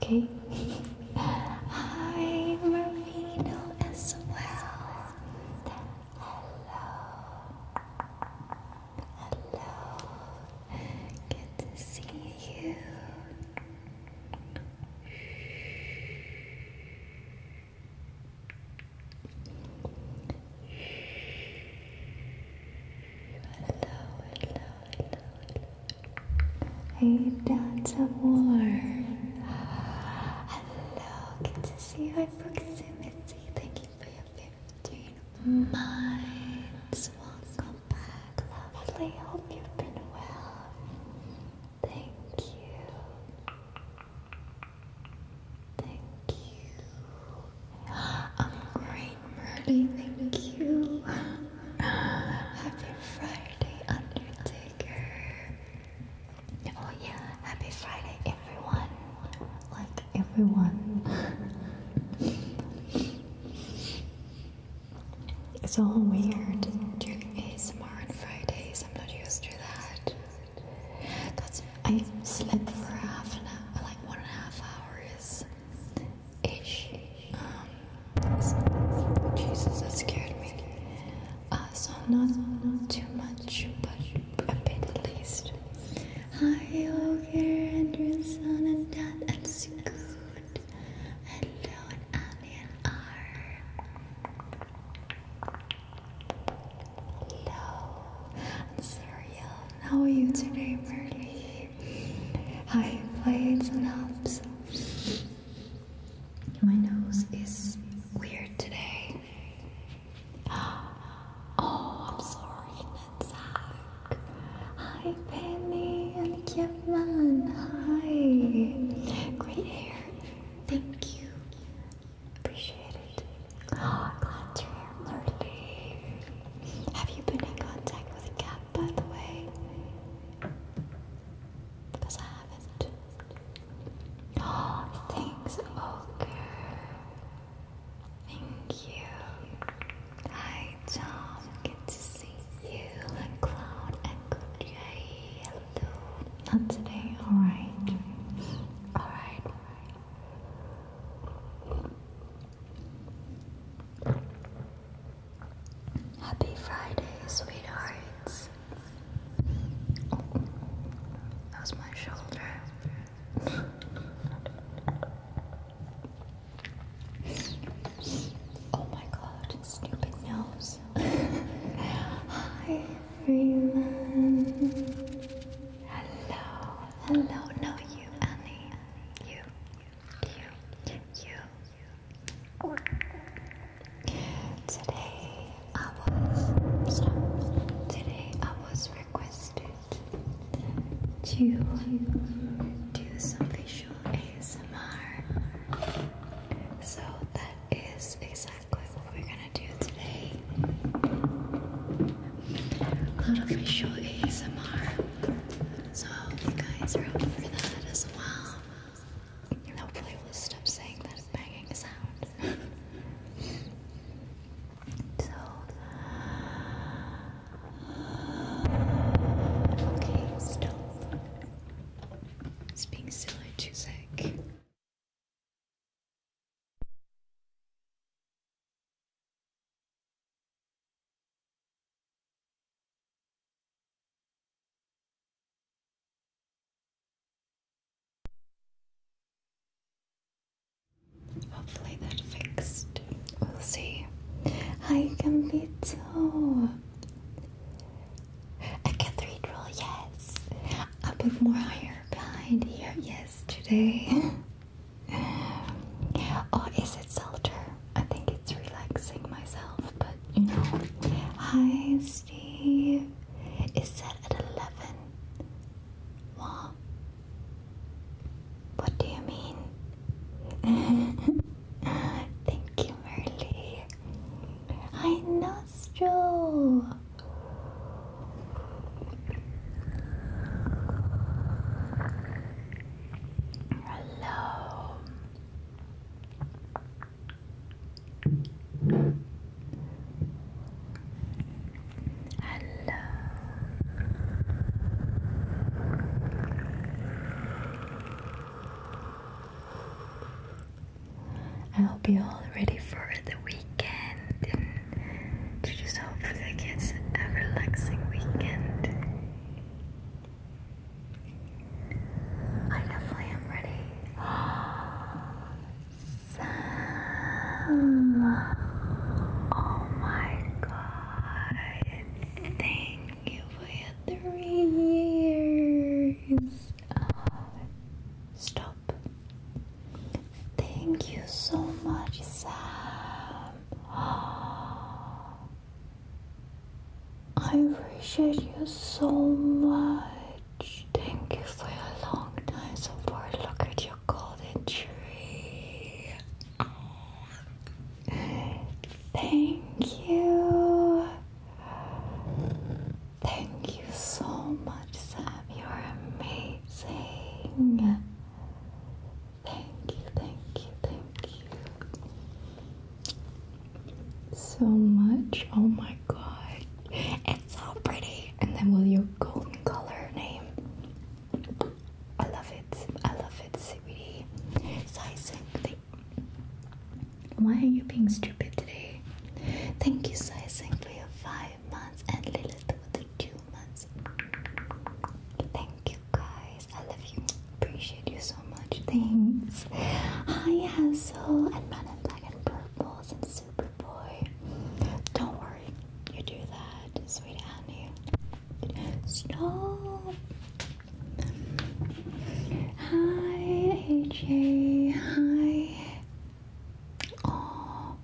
Okay. Hi, Marino as well. Hello. Hello. Good to see you. Hello, hello, hello, hello. Hey, Dance of Hello, good to see you proximity. Thank you for your 15 minds. Welcome back, lovely. Hope you've been well. Thank you. Thank you. I'm great, Merly. Thank you. Happy Friday. Oh, happy Friday, everyone. Like everyone. it's all weird doing ASMR on Fridays. I'm not used to that. Cause I slept for half an hour, like one and a half hours ish. Um, Jesus, that scared me. Uh, so not too much, but a bit at least. Hi, Ogre, and your son and dad, and Scoot. Hello, and Annie and R. Hello, and Serial. How are you today, Merly? Hi, Blades and Ups. My nose is weird today. Oh, I'm sorry, Netzach. Hi, Penny and Kevin. Hi. Great hair. Thank you. Appreciate it. Oh, I'm glad you Have you been in contact with Kat by the way, because I haven't. Oh, thanks, Ogre. Thank you. Hi, Tom. Good to see you. And Cloud and Good Hello. Not today. All right. All right. Happy Friday, sweethearts. That was my shoulder. oh my god, stupid nose. Hi, everyone. Hello, hello. No, you, Annie. you, you, you. Today I was Today I was requested to do some visual ASMR. So that is exactly what we're gonna do today. A little visual ASMR. So hope you guys are up for that as well hopefully we'll stop saying that banging sound. Okay, stop. It's being silly too sick. Hopefully that fixed. We'll see. Hi, Gambito. A cathedral, yes. i put more hair behind here, yes, today. oh, is it Salter? I think it's relaxing myself, but hi Steve, it's set at 11. What? What do you mean? Thank you, Merly. Hi, Nostril. Hello. Hello. I hope you're all ready for the weekend and to just hope that it gets a relaxing weekend. I definitely am ready. Sam. Oh my god. Thank you for your three years. stop. Thank you so much, Sam. I appreciate you so much. Thank you for your long time support. Look at your golden tree. Oh. Thank you. Thank you so much, Sam. You're amazing. Thank you, thank you, thank you so much. Oh my god, it's so pretty. And then with your golden color name, I love it. I love it, sweetie. Why are you being stupid today? Thank you, Sizing, for your five months and Lilith for the two months. Thank you, guys. I love you. Appreciate you so much things. Hi, Hassel, and Men in Black and and Superboy. Don't worry, you do that, sweet Annie. Stop. Hi, AJ. Hi. Oh,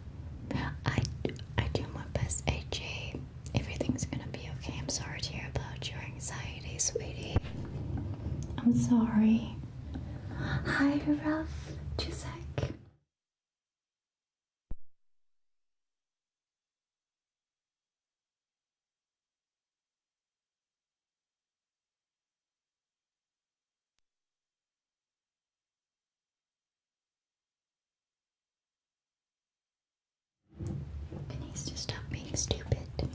I I do my best, AJ. Everything's gonna be okay. I'm sorry to hear about your anxiety, sweetie. I'm sorry. Hi, Ralph Cusack. It needs to stop being stupid.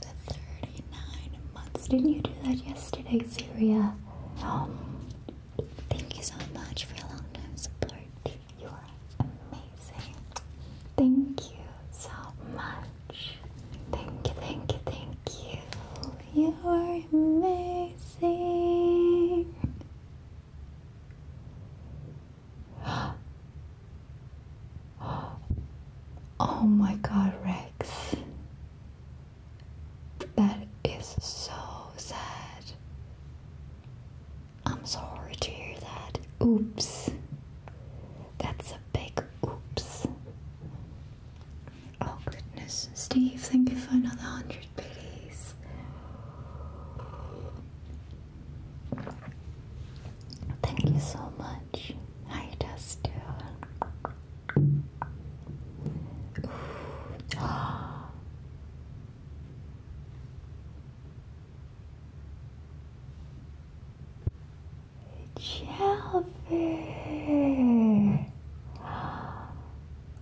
the 39 months. Didn't you do that yesterday, Syria? Um, thank you so much for your long time support. You are amazing. Thank you so much. Thank you, thank you, thank you. You are amazing. Oh my god, Rex. That is so sad. I'm sorry to hear that. Oops. That's a big oops. Oh goodness. Steve, thank you for another hundred pities. Thank you so much. Hi Dustin. Jellyfish.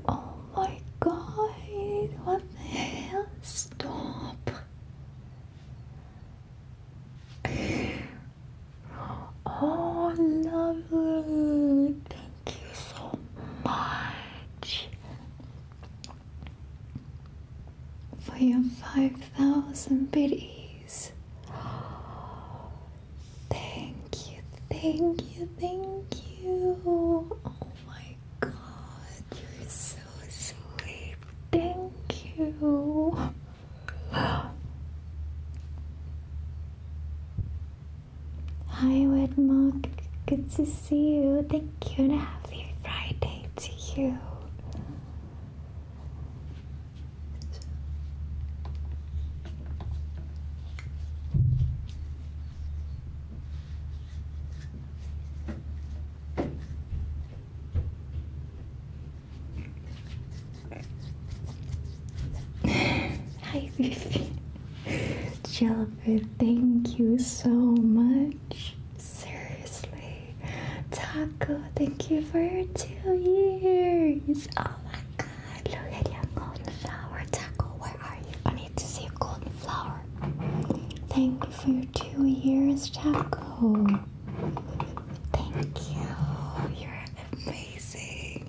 Oh my god, what the hell? Stop. Oh, lovely. Thank you so much for your 5,000 biddies. Thank you, thank you, thank you. Oh my god, you're so sweet. Thank you. Hi, Wedmark. Good to see you. Thank you and happy Friday to you. Hi, Fifi. Jellifer, thank you so much. Seriously. Taco, thank you for two years. Oh my god, look at your golden flower. Taco, where are you? I need to see a golden flower. Thank you for your two years, Taco. Thank you. You're amazing.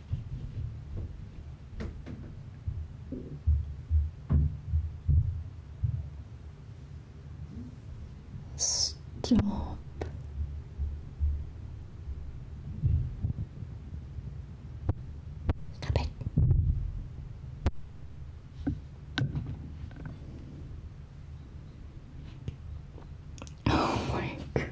Stop. Stop Oh my god.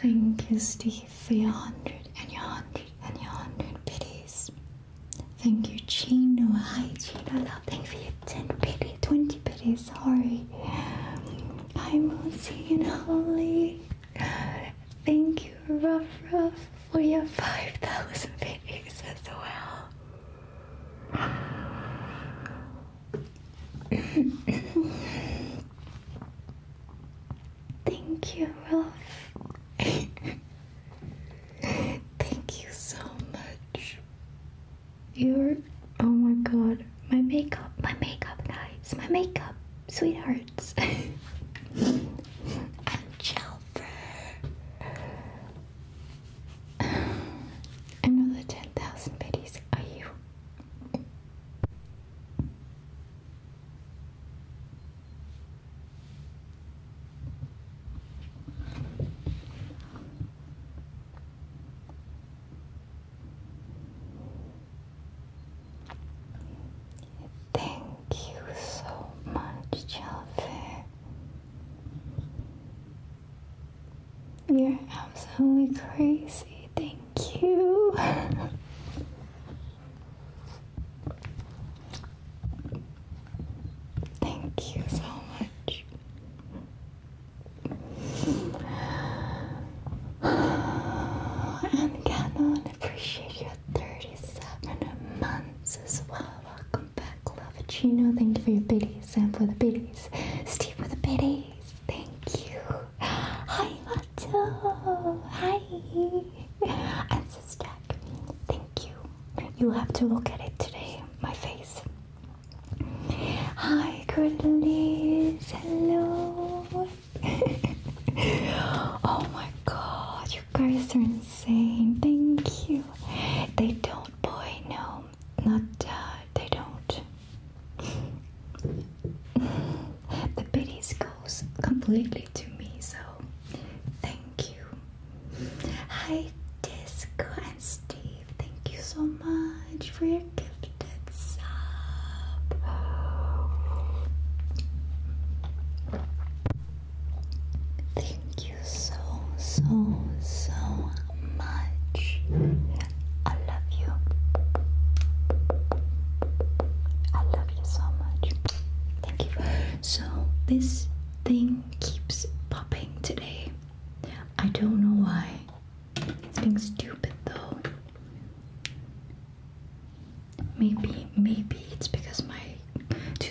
Thank you, Steve, for your hundred and your hundred and your hundred pities. Thank you, Chino. Hi, Chino. No, thank you for your 10 pity, 20 pity, sorry. Hi, Moosey and Holly. Thank you, Ruff Ruff, for your 5,000 pities as well. Thank you, Rolf. Thank you so much. You're. Oh my god. My makeup, my makeup, guys. My makeup, sweethearts. and Chelfer. Another 10,000 biddies, are you? Thank you so much, Jalfair. You're absolutely crazy. Thank you. Thank you so much. And Canon, appreciate your 37 months as well welcome back, Lavachino. Thank you for your biddies. and for the biddies. Steve for the biddies. Thank you. Hi, Watto. Hi. And Sistack. Thank you. you have to look at it today. My face. Hi, Curtis. Hello. oh my god, you guys are insane. Thank you. They don't, boy, no not uh, they don't. the pity goes completely to me, so thank you. Hi, Disco and Steve. Thank you so much for your gifted sub. Thank so, so, so much. I love you. I love you so much. Thank you. So, this thing keeps popping today. I don't know why. It's being stupid though. Maybe, maybe it's because my two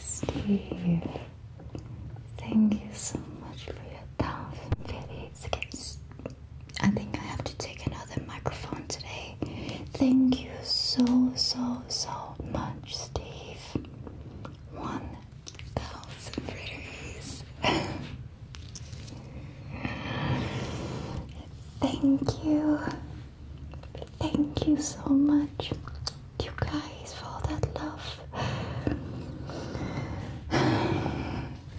Steve, thank you so much for your thousand videos. I think I have to take another microphone today. Thank you so, so, so much, Steve. 1,000 readers. Thank you. Thank you so much, you guys, for all that love.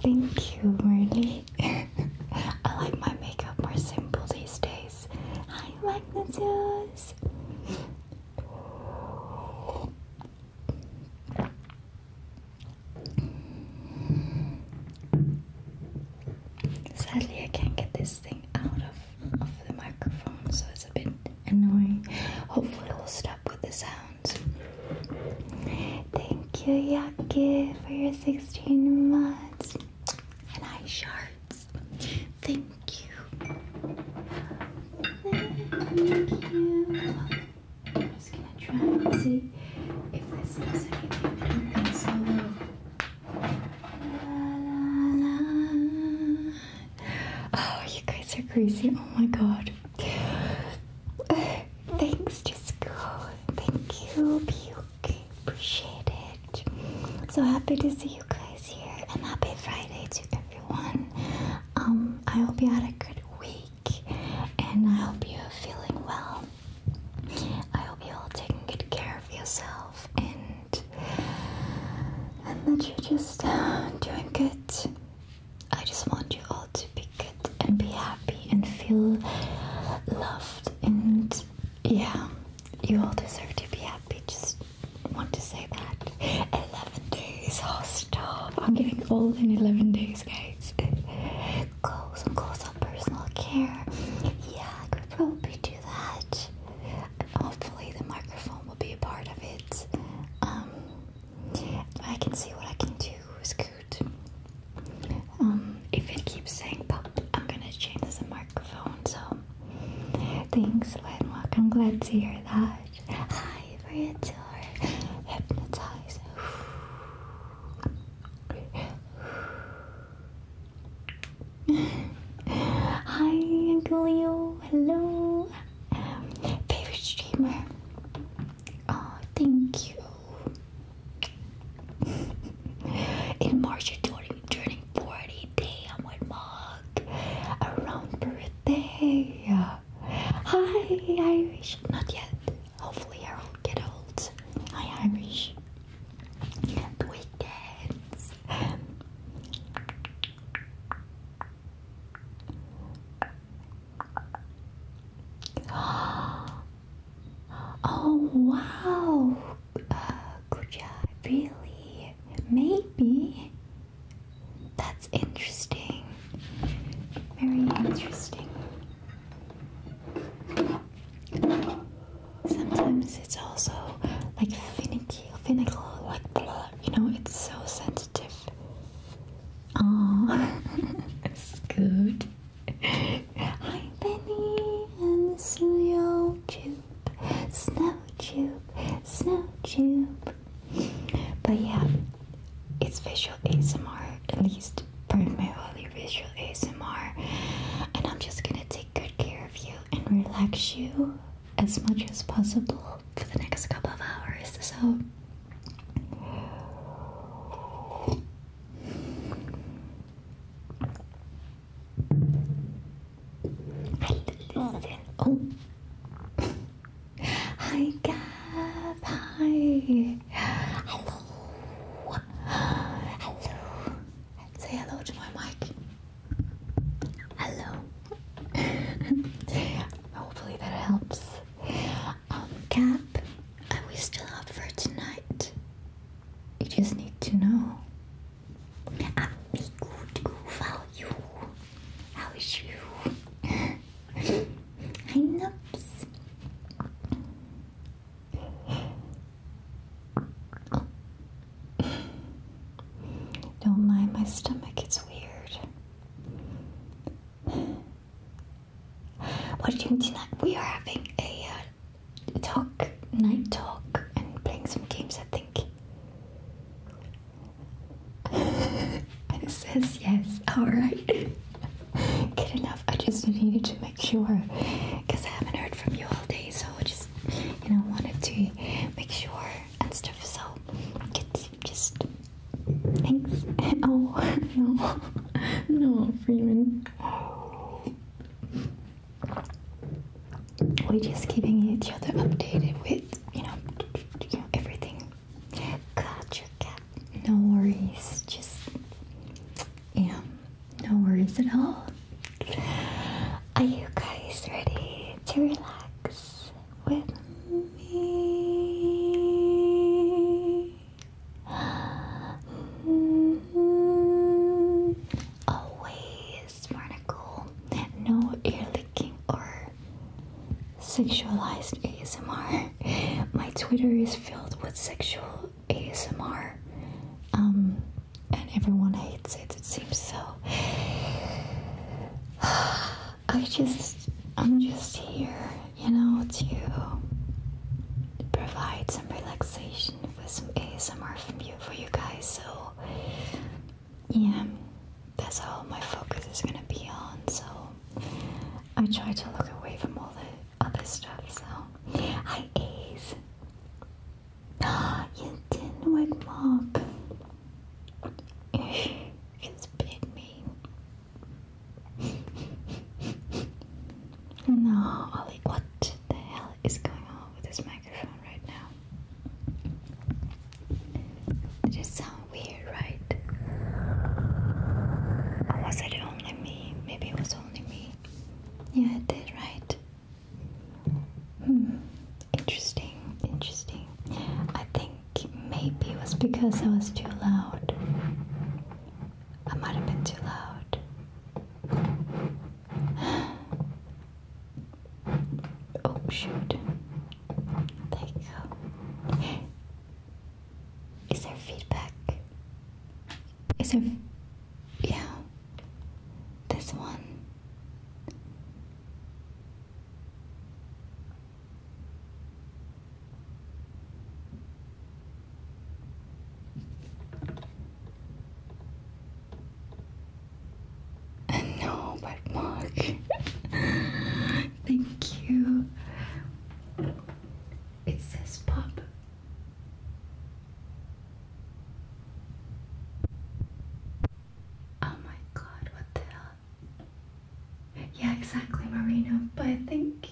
Thank you, Marley. I like my makeup more simple these days. Hi, Magnitudes! Sadly, I can't get this thing out of, of the microphone, so it's a bit annoying. Hopefully, we'll stop with the sound. Thank you, Yaki, for your 16 months and eye shards. Thank you. Thank you. I'm just gonna try and see if this does anything. I don't Oh, you guys are crazy. Oh my god. Thanks to school. Thank you, Puke. Appreciate it. So happy to see you guys here and happy Friday to everyone. Um, I hope you had a good week and I hope you're feeling well. I hope you're all taking good care of yourself and and that you're just uh, doing good. I just want you all to be good and be happy and feel loved. And yeah, you all deserve to be happy. Just want to say that. 11 days. Oh, stop. I'm getting old in 11 days, guys. Go, some close up personal care. Yeah, I could probably do that. Hopefully, the microphone will be a part of it. Um, I can see what I can do is good. Um, if it keeps saying pop, I'm gonna change the microphone. So thanks, I'm Glad to hear that. Hi, Ritor. Hypnotize. Hi, Leo. Hello. Favorite streamer. Oh, thank you. In March, you're turning 40. Damn, what mug? Around birthday. Hi, Irish. Not yet. Hopefully, I will get old. Hi, Irish. The weekends. Oh wow! Uh, good job, really? Maybe? That's interesting. Very interesting. Sometimes it's also like finicky, finical, like blah, you know, it's so sensitive Oh, that's Hi, Benny and Snow Tube, Snow Tube, Snow Tube. But yeah, it's visual ASMR, at least primarily visual ASMR, and I'm just gonna take good care of you and relax you as much as possible for the next couple of hours. So Listen. Oh. Hi, Gab. Hi. Hello. Hello. Say hello to my mic. Hello. Hopefully that helps um, Cap, are we still up for tonight? You just need to know. I'm good goof, how you? How is you? I Nups. Don't mind my stomach, it's weird. What do you mean tonight? We are having a uh, talk, night talk, and playing some games, I think. And it says yes, alright. Good enough. I just needed to make sure because I haven't heard from you all day, so I just, you know, wanted to make sure and stuff. So, just Thanks. Oh, no. No, Freeman. We're just keeping each other updated with, you know, you know everything. cat. No worries. Just, you know, no worries at all. Are you guys ready to relax with me? Always barnacle. No ear licking or sexualized ASMR. My Twitter is filled with sexual ASMR. Um, and everyone hates it, it seems so. I just I'm just here you know, to provide some relaxation for some ASMR from you for you guys. So yeah, that's all my focus is gonna be on. So I try to look away from all the other stuff. So hi Ace, ah, you didn't wake up. It's bit mean. No, Ollie, what the hell is going on with this microphone right now? It just sounds weird, right? Or was it only me? Maybe it was only me. Yeah, it did, right? Hmm. Interesting, interesting. I think maybe it was because I was too loud. I might have been too loud. oh, shoot. There you go. Is there feedback? Is there. Yeah. This one. no, but Mark. Thank you. It says pop. Oh my god, what the hell? Yeah, exactly, Marina. But I think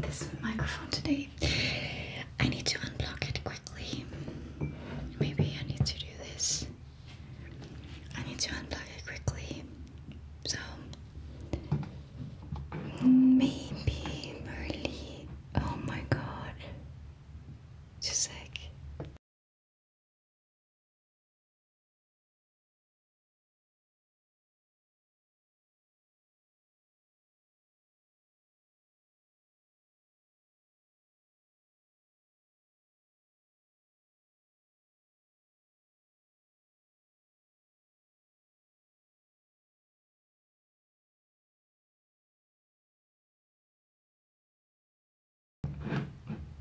this microphone today. I need to unblock it quickly. Maybe I need to do this. I need to unblock it quickly. So maybe Merly. Oh my god. Just like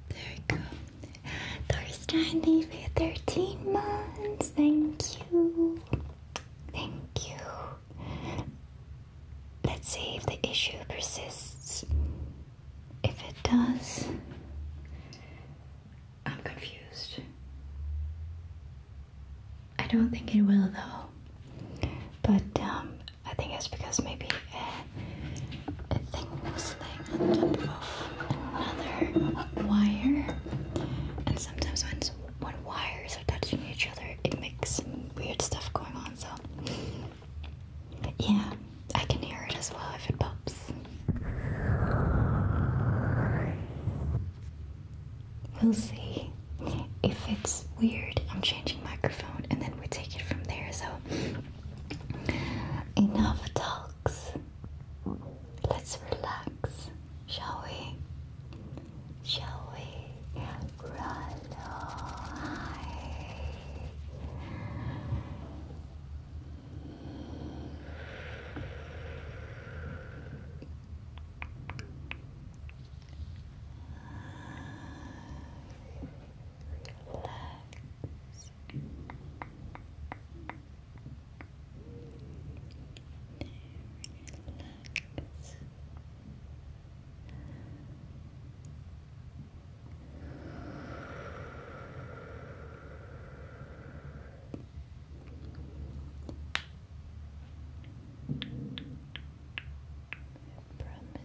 there we go. Thorstein, thank 13 months. Thank you. Thank you. Let's see if the issue persists. If it does, I'm confused. I don't think it will though. But um, I think it's because maybe uh, a, thing was laying on top of another wire, and sometimes when when wires are touching each other, it makes some weird stuff going on. So, yeah, I can hear it as well if it pops. We'll see. If it's weird, I'm changing microphone and then we take it from there. So, enough talks. Let's relax, shall we? Shall we Relax promise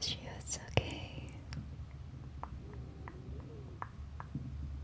you it's okay.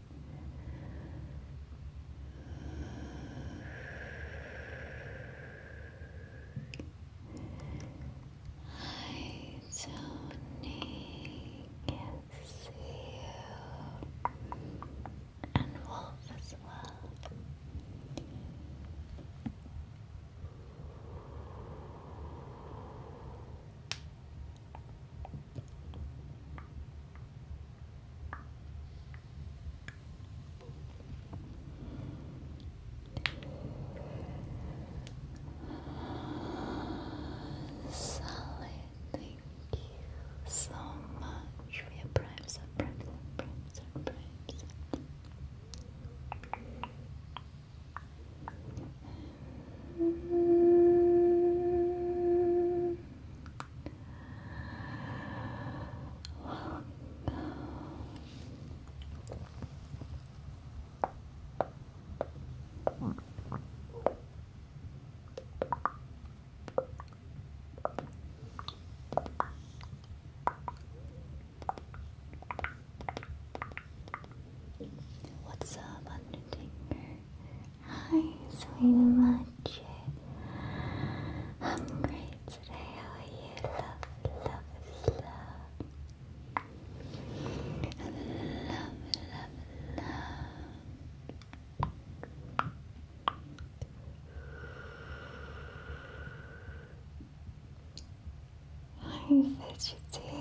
I don't need to see you and Wolf as Sally, thank you so much for your prime surprise, prime surprise, prime What's up, Undertaker? Hi, sweet I'm great today. How are you? Love, love, love. Love, love, love. I'm fidgety.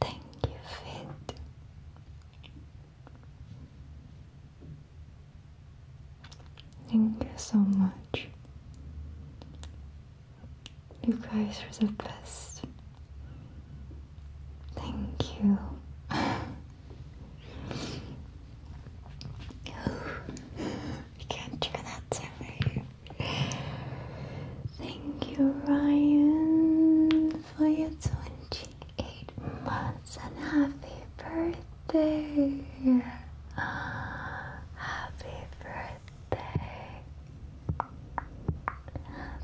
Thank you, Fit. Thank you so much. You guys were the best. Thank you. we can't trigger that survey. Thank you, Ryan, for your 28 months and happy birthday. Happy birthday. Happy birthday.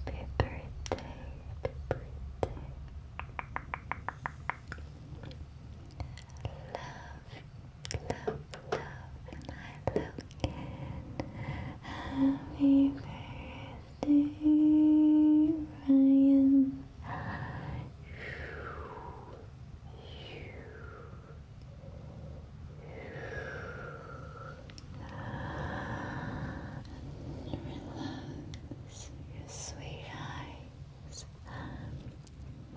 Happy birthday. Love, love, love, my love kid. Happy birthday, Ryan. You, you, and relax sweet eyes.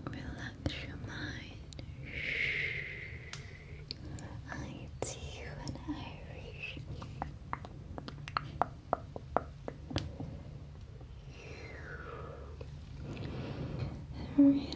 Relax your mind. I see you and I reach Relax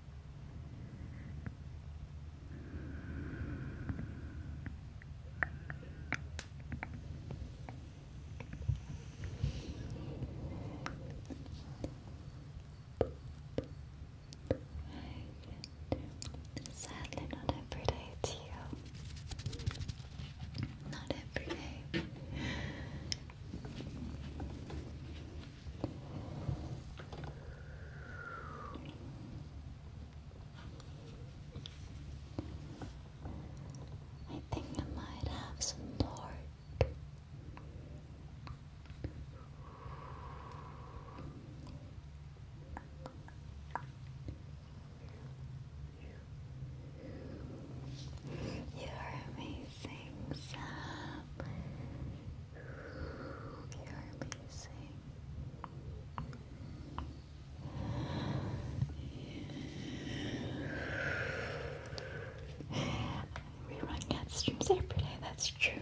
Sadly, not every day to you. Not every day. I think I might have some lord. You're amazing, Sam. We run cat streams every day, that's true.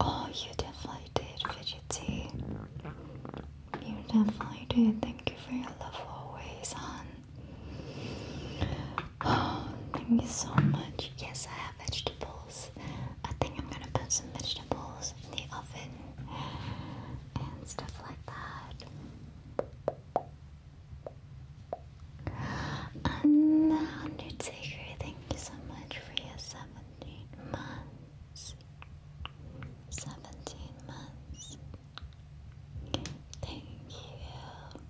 Oh, you definitely did, Fidgety. You definitely did. Thank you for your love always, hon. Oh, thank you so much. Yes, I have vegetables. I think I'm gonna put some vegetables in the oven and stuff like that. And Undertaker, thank you so much for your 17 months. 17 months. Thank you.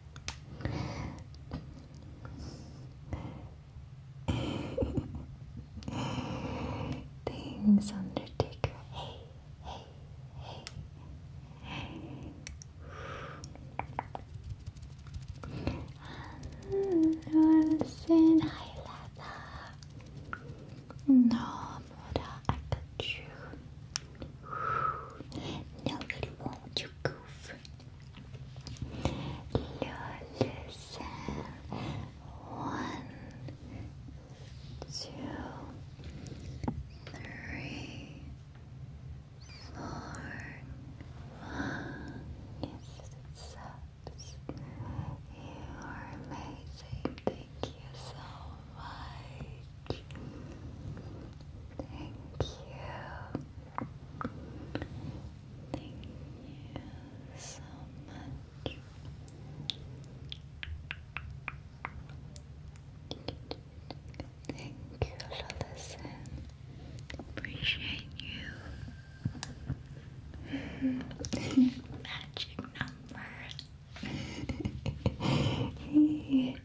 Things Undertaker. Hey, hey, hey. Listen, hi, Lada. No, Mora, I got you. No, it you goof listen one, two, three, four, yes, it sucks. You are amazing. Thank you so much. Thank you. Thank you so much. Thank you for listening. Appreciate you. Magic number.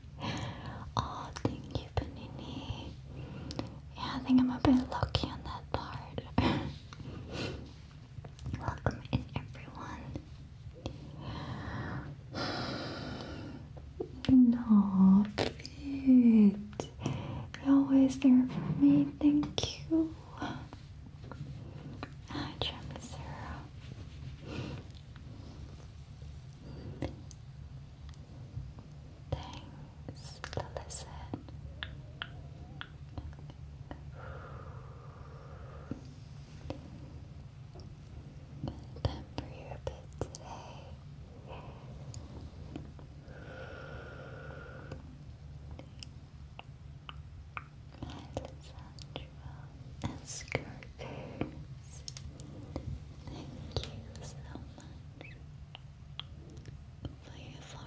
Oh, thank you, Panini. Yeah, I think I'm a bit lucky on that part. Welcome in, everyone. No, it. You're always there for me. Thank you. Hi, Jamisera. Thanks for listen. Temper you a bit today. Alessandra Escarter. Thank you so much for your four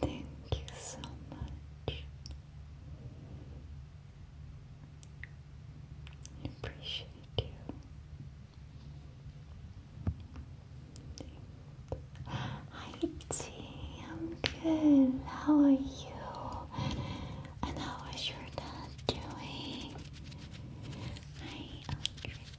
Thank you so much. I appreciate you. Hi T, I'm good. How are you? And how is your dad doing? Hi Aldrich.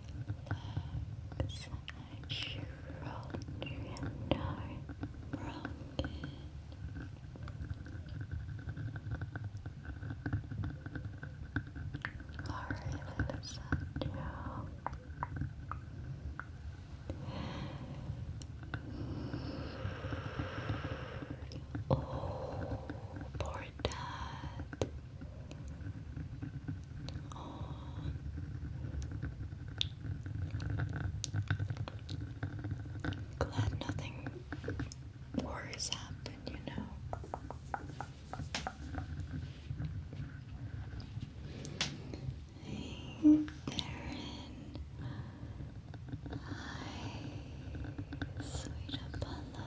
such children are broken. Alright, let now. Oh, poor dad. Oh. Glad nothing worries happened, you know. Hey, Darren. Hi, sweet Apollo.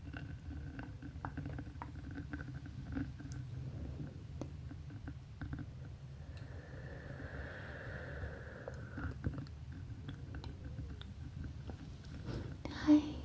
Hi, Caroline.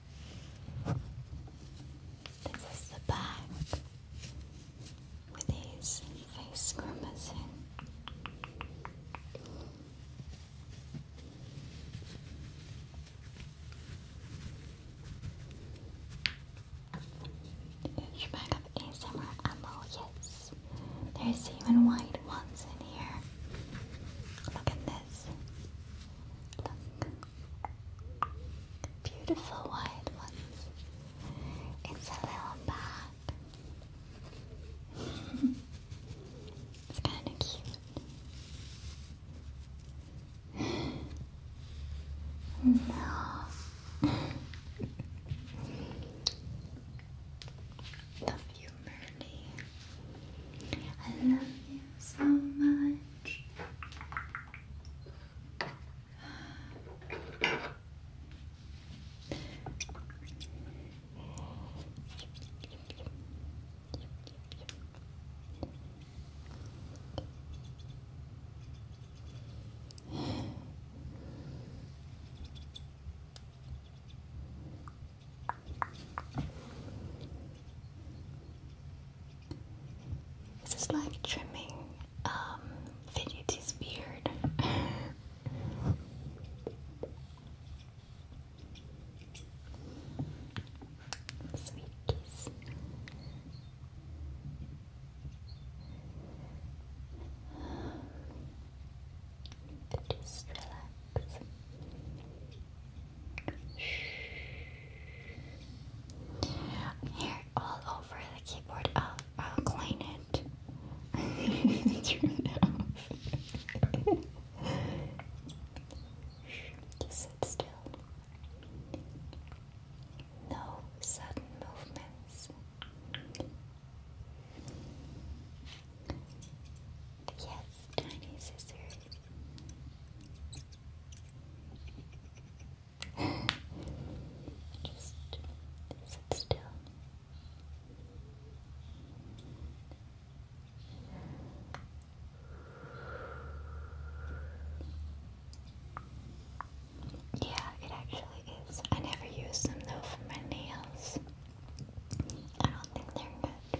This is the back with his face grimacing. Huge bag of ASMR ammo, yes. There's even white ones in here. Look at this. Look. Beautiful white ones. It's a little bag. it's kind of cute. no. Love you, I love you so much. This is like trimming um beard. Sweet kiss. Just relax. Here, all over the keyboard. I'll, I'll clean it. Turn it off. Just sit still. No sudden movements. Yes, tiny scissors. Just sit still. Yeah, it actually is. I never use them though for my nails. I don't think they're good.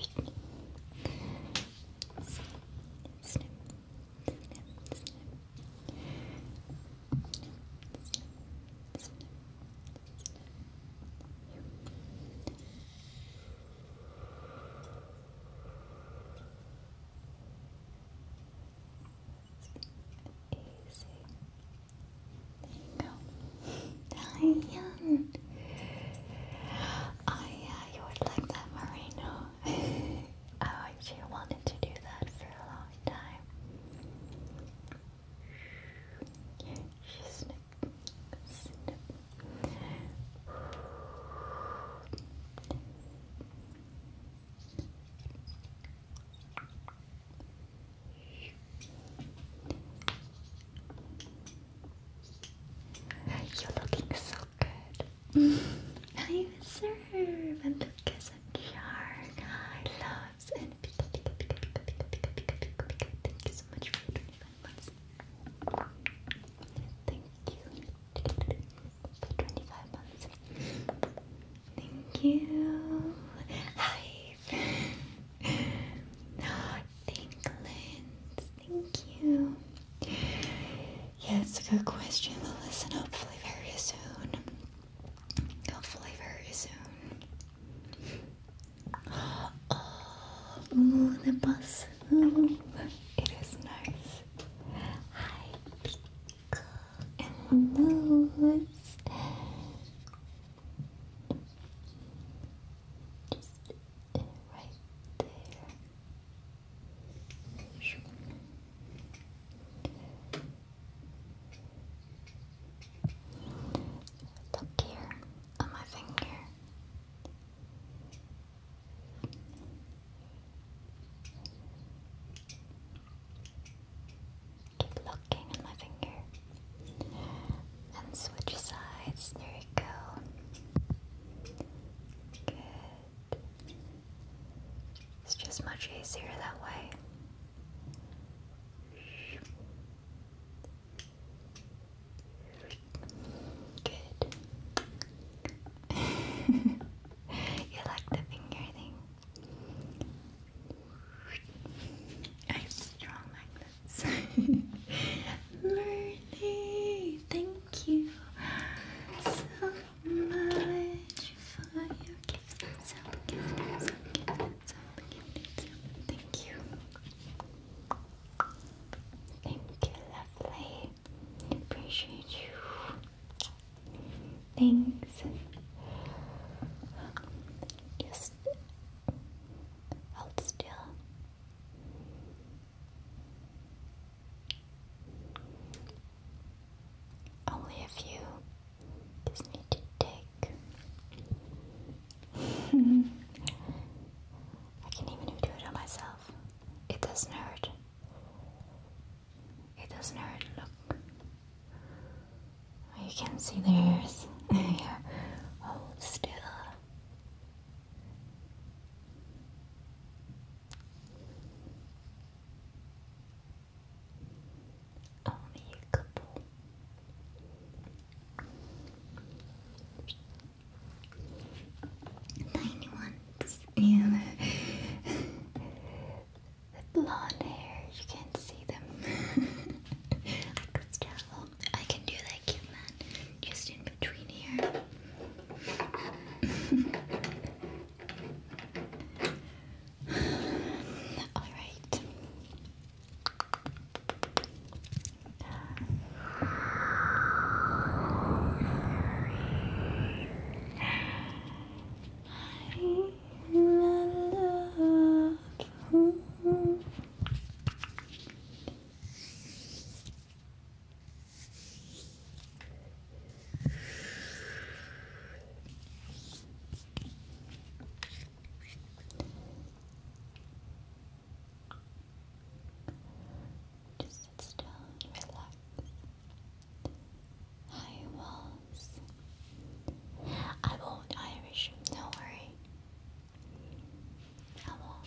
snip, Easy. There you go. Italian. Oh would like that merino. Oh, I actually wanted to do that for a long time. You're looking so good. I serve and Lucas and Yarn. I loves and pika pika pika pika pika pika pika pika pika. Thank you so much for 25 months. Thank you for 25 months. Thank you. Hi Tinklins, thank you. Yeah, it's a good question. We'll listen hopefully very soon. Hopefully very soon. Oh, the bus. it is nice. Hi, Pico and Moose it right there. Look here on my finger. Keep looking at my finger. And switch sides. There you go. Good. It's just much easier that way. Good. you like the finger thing? I'm strong like Merly, thank you so much for your gift. Thank you. Thank you, lovely. Appreciate you. Thanks. Just hold still. Only a few just need to take. I can even do it on myself. It doesn't hurt. It doesn't hurt. Look. You can see the hairs. yeah. Hold still. Only a couple. Tiny ones. Yeah. the blonde hair, you can't see them. Look, it's terrible. I can do that, cute man. Just in between here. All right. Just sit still relax. Hi, Walls. I won't Irish, no worry. I will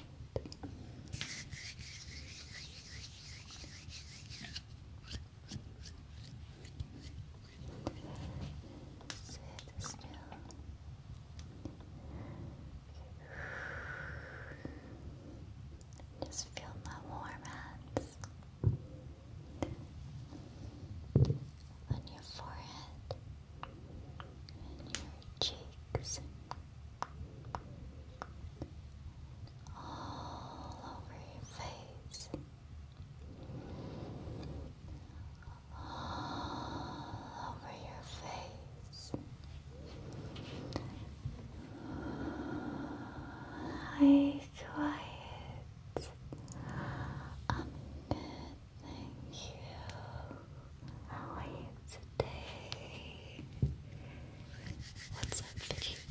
Just feel my warm hands on your forehead and your cheeks all over your face, all over your face. Hi, quiet. Um, thank you. How are you today? What's up, Fidget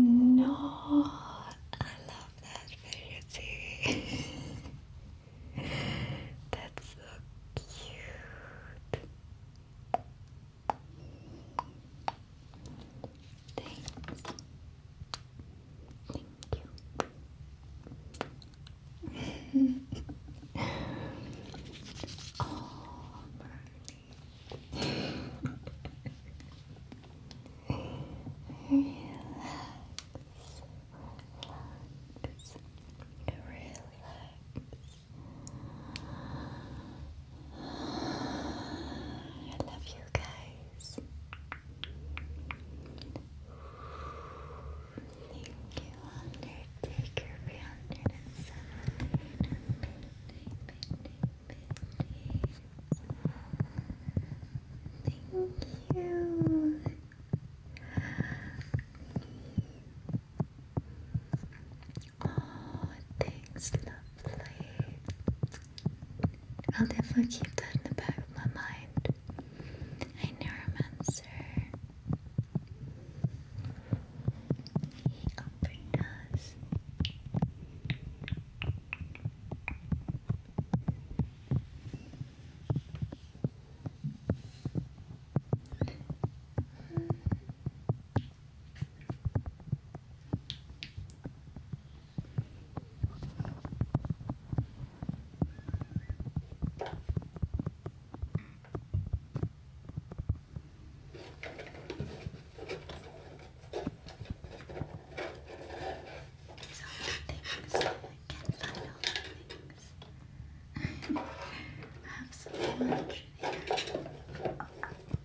no, I love that video That's so cute. Thanks. Thank you. oh, Relax. Relax. Relax. I love you guys. Thank you, Undertaker, Beyond Thank you. Oh, thanks, lovely. I'll never keep that in the back of my mind. Hi, Neuromancer. He offered us things can find all the things. I have so much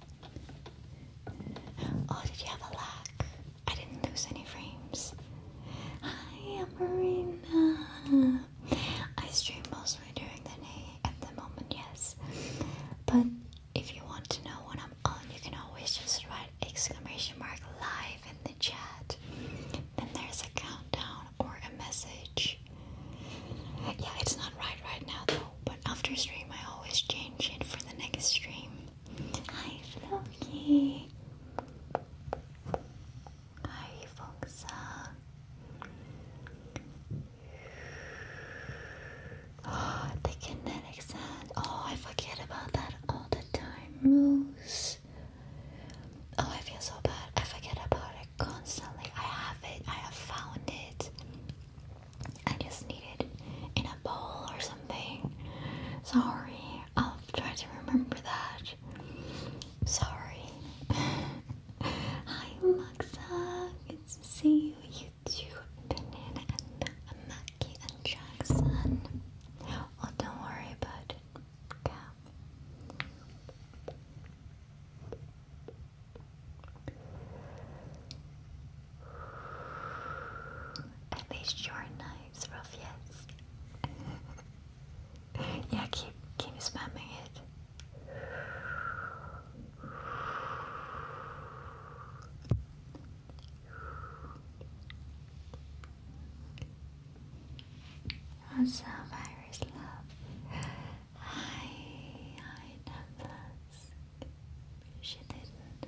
Oh, did you have a lag? I didn't lose any frames. Hi, Marina. I stream mostly during the day at the moment, yes. But if you want to know when I'm on, you can always just write exclamation mark live in the chat. Then there's a countdown or a message. Yeah, it's not right right now though, but after stream I always change it for the next stream. Hi, Floki. Hi, Foxa. Oh, the kinetic sand. Oh, I forget about that all the time. Moose. Oh, I feel so bad. I forget about it constantly. I have it. I have found it. I just need it in a bowl or something. Sorry, I'll try to remember that. Sorry. Hi, Maxa. Good see you. You and Mackie and Jackson. Oh, don't worry about Yeah. At least your knives, Ruffians. yeah, keep keep spamming it. What's up, Iris Love? Hi, hi, Douglas. She didn't.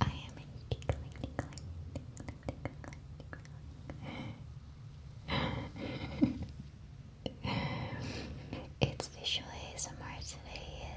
I am a tickling, tickling, tickling, tickling. it's visual ASMR today is.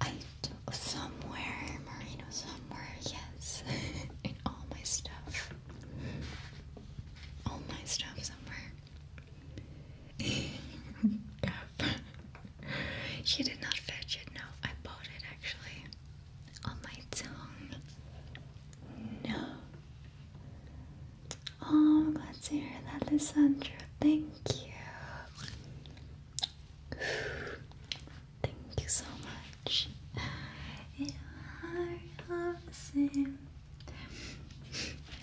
I somewhere, Marino, somewhere, yes, in all my stuff, all my stuff somewhere. yep. she did not fetch it. No, I bought it actually on my tongue. No. Oh, glad to hear that, Lissandra. Thank you. Thank you so much. Yeah, I same.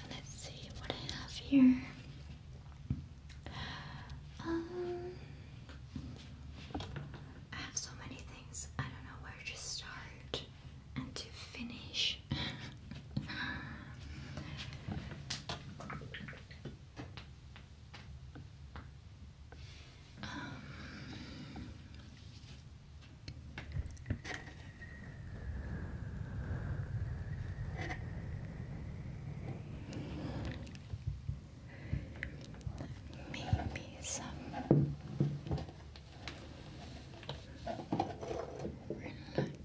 Let's see what I have here. Um, I have so many things. I don't know where to start and to finish. Um, maybe some relaxing.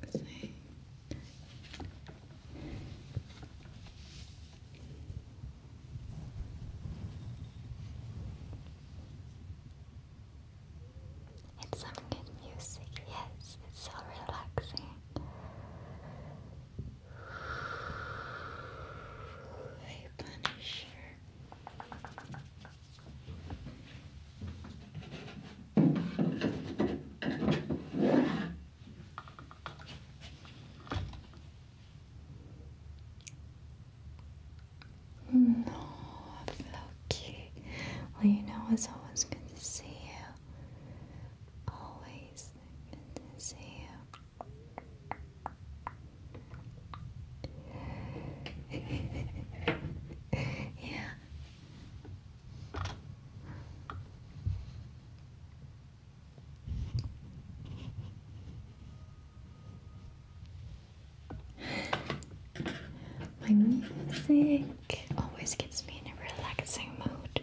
It's some good music, yes, it's so relaxing. A punisher. No, Floki. Well, you know it's always good to see you. Always good to see you yeah. My music always gets me in a relaxing mood.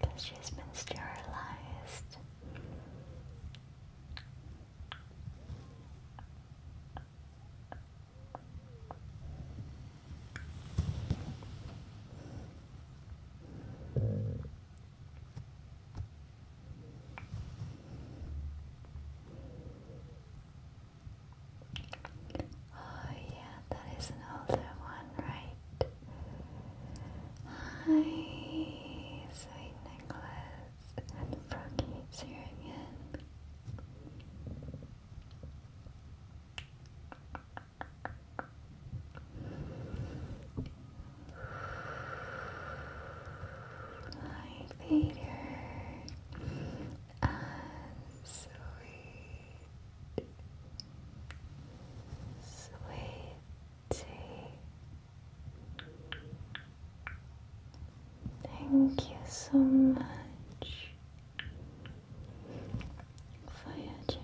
Because she's been sterilized. Oh yeah, that is an older one, right? Hi, sweet Nicholas and Froggy cheering in. Hi, Peter. And ah, sweet Sweetie, thank you so much for your generosity.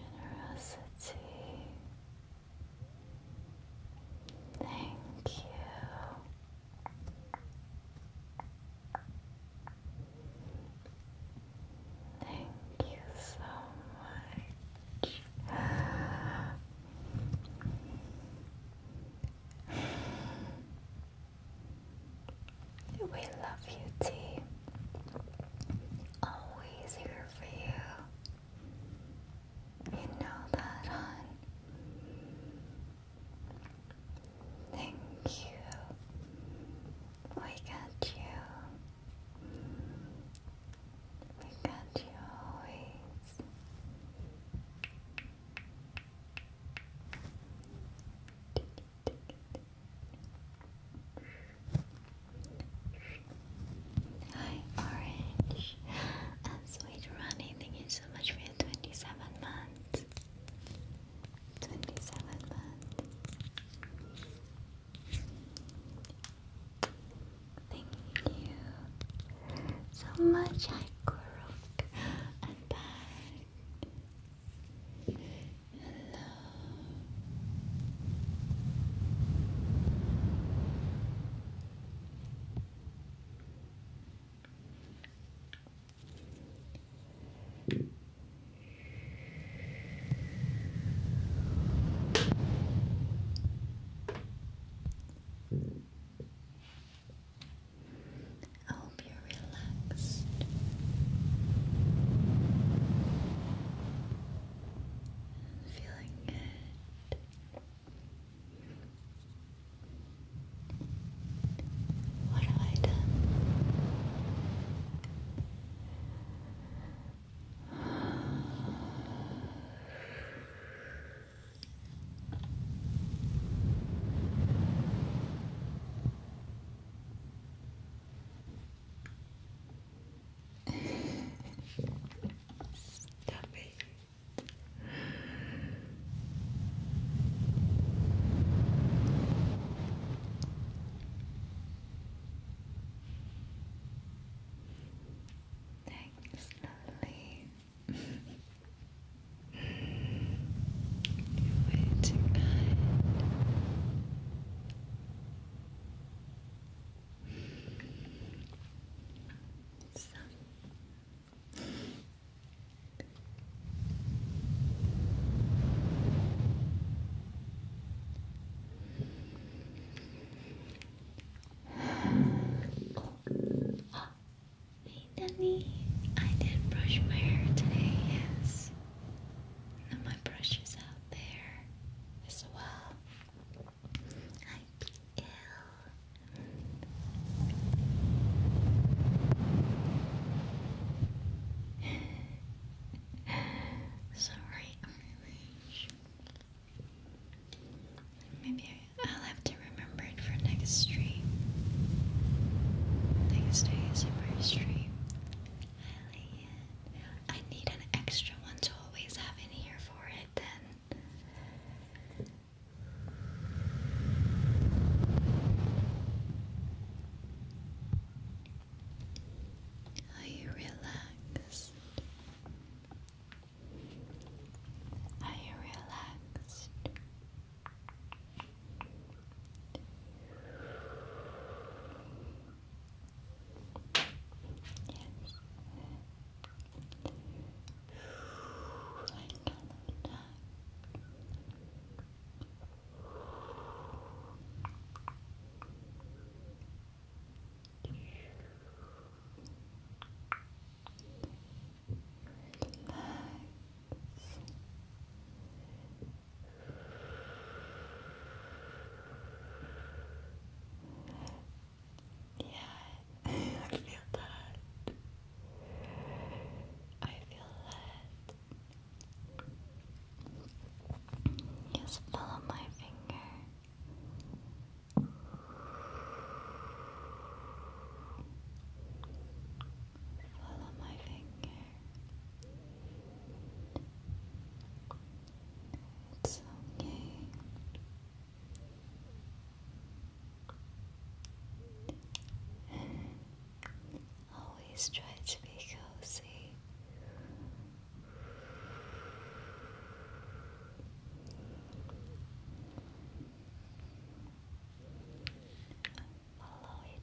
Thank you. Thank you so much. We love you, T. Always here for you. You know that, hon. Thank you. We got you. We got you always. Hi, Orange. And sweet Ronnie, thank you so much for your 27 months. 27 months. Thank you so much, Ikorok. I'm back. Hello. I hope you're relaxed. Feeling good. What have I done? Stop it. Thanks, lovely. You're way too kind. So hey Danny, I did not brush my hair today, yes. my brush is out there as well. I'd be Sorry, Maybe I'll have to remember it for next stream. Next ASMR stream. I need an extra one to always have in here for it then. Are you relaxed? Are you relaxed? Yes. I cannot yeah, I feel that. I feel that. Just follow my finger. Follow my finger. It's okay. Always try to be cozy. Follow it.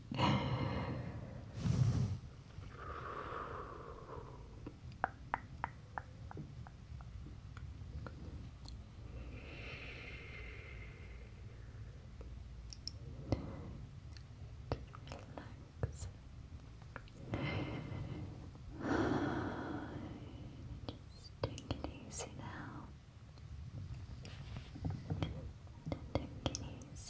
Just take it easy now. Take you easy. Take it easy. Take it easy.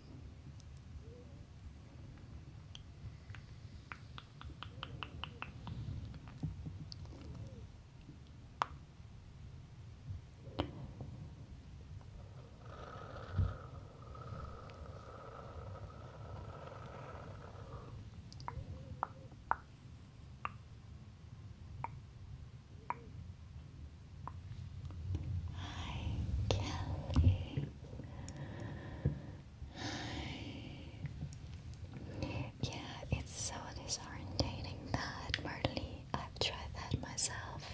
Hi, Kelly. Yeah, it's so disorientating that partly I've tried that myself.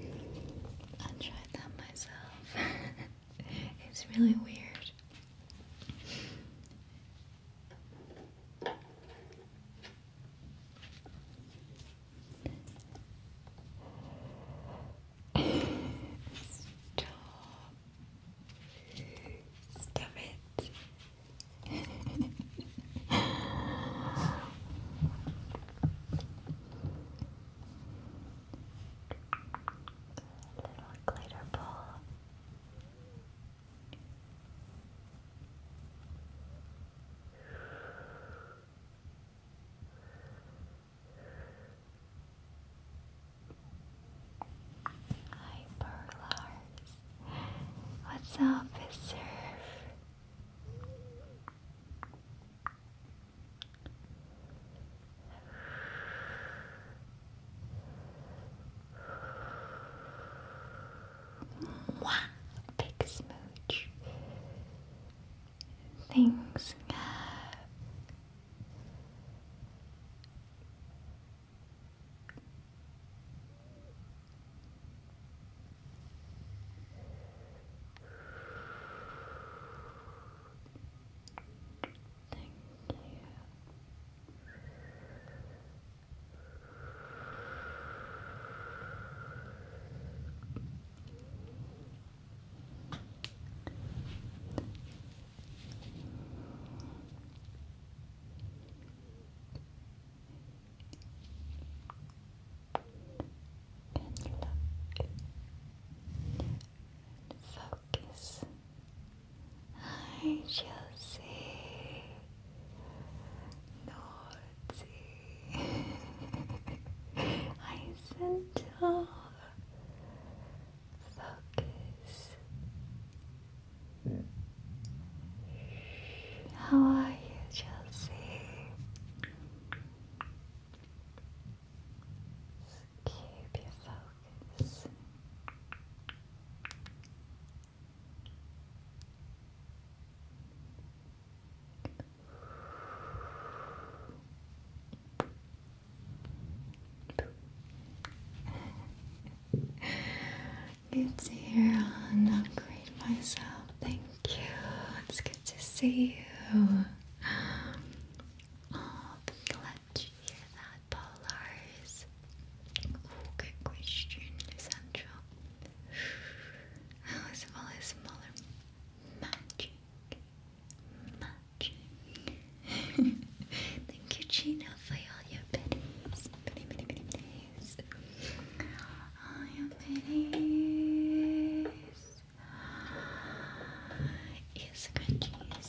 i tried that myself. it's really weird. Stop. Stop it. Little glitter ball. Hi, Burlars. What's up, Surf? Mwah! Big smooch. Thanks. Thank you and look and focus. I shall naughty. I said, focus. How are you, Chelsea? Keep your focus good to hear I'm upgrade myself. Thank you. It's good to see you. Oh, glad to hear that, Polars. Oh, good question, Lisandro. How is all this smaller magic? much. Thank you, Gina, for all your pennies. Penny, penny, penny, All your pennies. Ear scrunchies.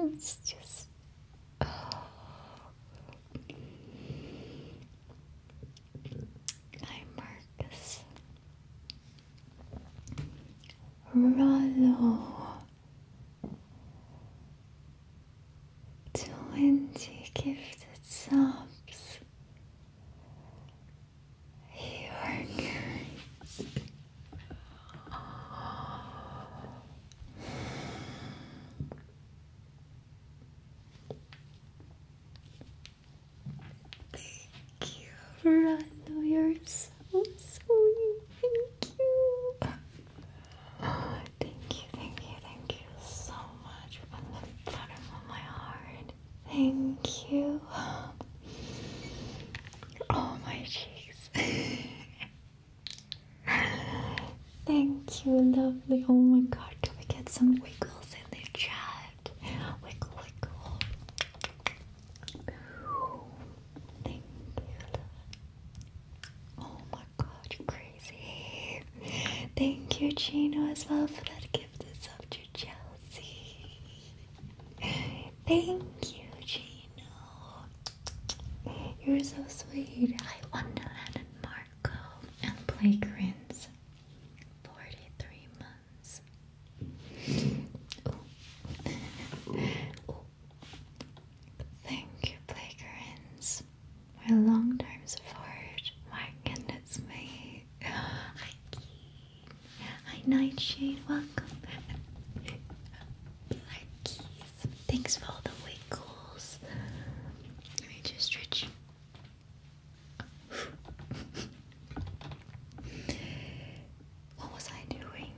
It's just. Oh. Hi, Marcus. Rollo. Twenty windy gifted sobs you are carried Thank you, Rando. You're so sweet. Thank you. Oh, thank you, thank you, thank you so much from the bottom of my heart. Thank you. Oh, my cheeks. Thank you, lovely. Oh my god, can we get some wiggles in the chat? Wiggle, wiggle. Thank you, love. Oh my god, crazy. Thank you, Gino, as well for that gift and up to Chelsea. Thank you, Gino. You're so sweet. I Wonderland and Marco and Playgrins. 43 months. Ooh. Ooh. Thank you, Playgurins. My long time support. My goodness me. Hi Hi Nightshade, welcome. Blackies. Thanks for all the wiggles. Let me just stretch. what was I doing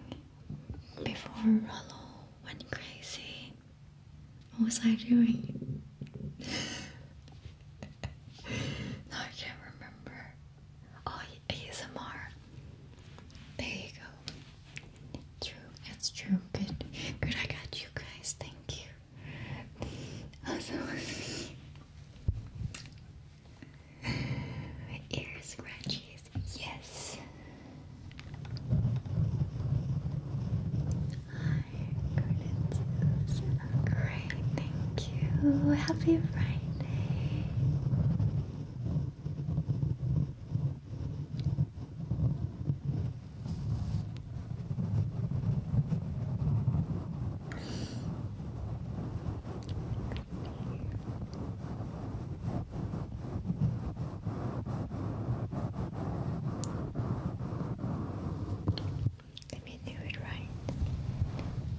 before Rollo went crazy? What was I doing? no, I can't remember. Oh, ASMR. There you go. True, it's true. Good, good. I got you guys. Thank you. Also, Ear scratches. Yes. Hi, Gordon's great, thank you. Happy Friday. Let me do it right.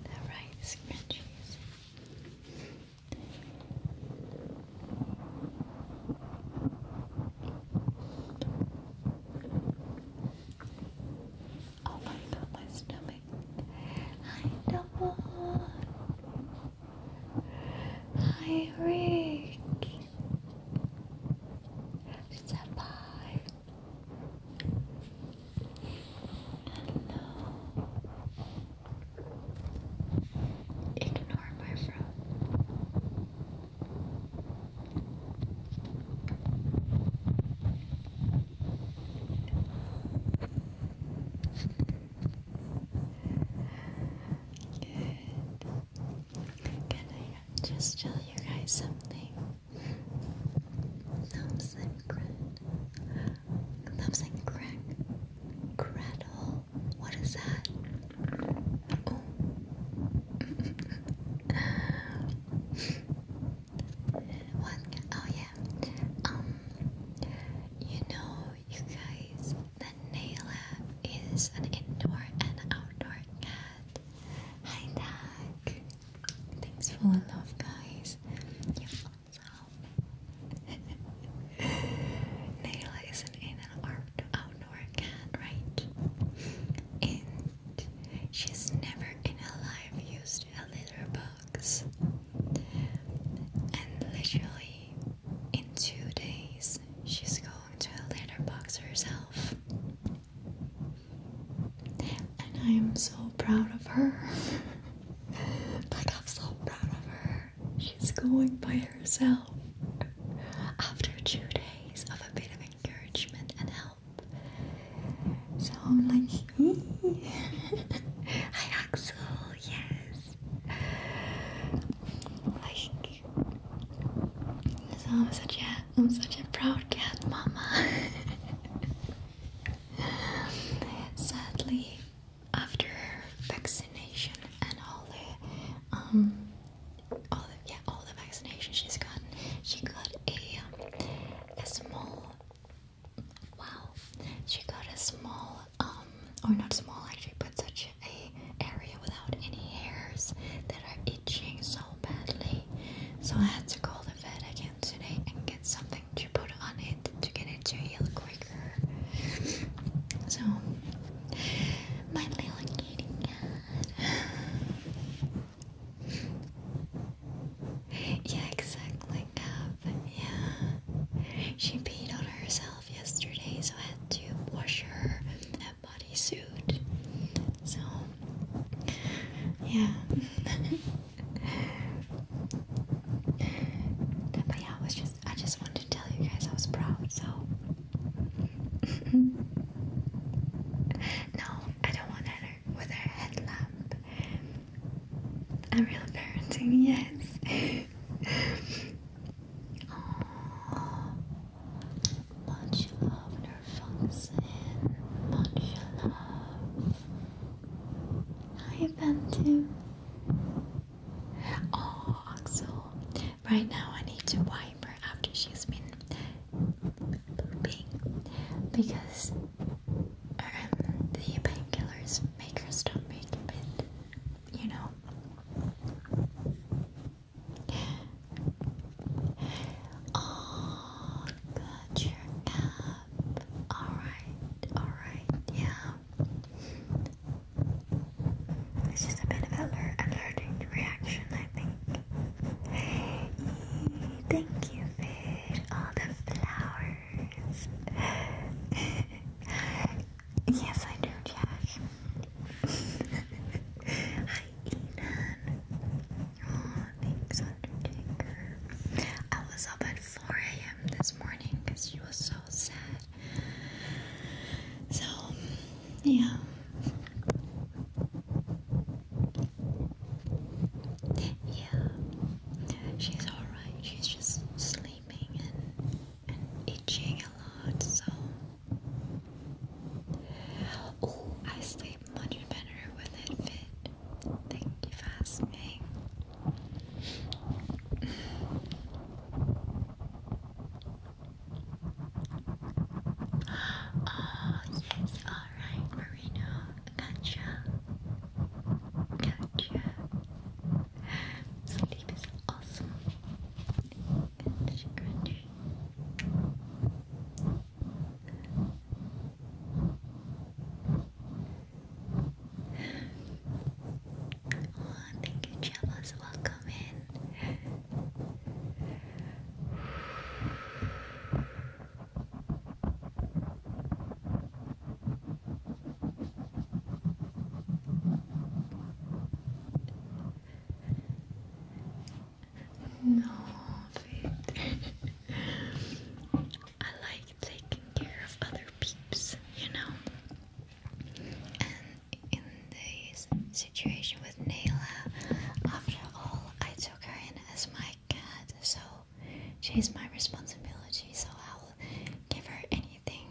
The right scrunchies. Oh my god, my stomach. I don't want Hi, Rick. Step by. Hello. Ignore my fro. Good. Can I just tell you guys something? Thumbs and crack. Thumbs and What is that? Oh. what? Oh yeah. Um. You know, you guys, the Nailab is an indoor and outdoor cat. Hi, Doc. Thanks for the love, guys. You're Naila is an in and outdoor cat, right? And she's never in her life used a litter box. And literally, in two days, she's going to a box herself. And I am so proud of her. like, I'm so proud of her. She's going by herself. After two days of a bit of encouragement and help. So I'm like, hey. Hi Axel, yes, like so I'm such a I'm such a proud cat mama. Sadly, after vaccination and all the um all yeah all the vaccination she's gotten, she got a um, a small wow she got a small um or not small actually, but such a area without any hairs that are itching so badly. So I had to call the vet again today and get something to put on it to get it to heal quicker. So my little kitty cat. Yeah, exactly, um, Yeah. She peed on herself yesterday, so I had to wash her in a bodysuit. So, yeah. but yeah, I was just I just wanted to tell you guys I was proud. So, no, I don't want her with headlamp. I'm real parenting, yes. Oh, much love, Nerfunxin. Much love. Hi, Bantu. Oh, Axel. Right now, I need to wipe her after she's been pooping because um, the painkillers make her stomach a you know. Oh, got your app. Alright, alright, yeah. It's just a bit of an alerting reaction, I think. thank you for all the flowers. Yes, I do, Josh. Hi, Enan. Oh, thanks, Undertaker. I was up at 4 a.m. this morning because she was so sad. So, yeah. Yeah, she's alright. She's just sleeping and and itching a lot, so oh, I sleep much better with it fit. Thank you for asking. oh yes, alright, Marino. Gotcha. Gotcha. Sleep is awesome. Oh, thank you, Chamas. Welcome in. No, Victor. I like taking care of other peeps, you know. And in this situation with Nayla, after all, I took her in as my cat, so she's my responsibility. So I'll give her anything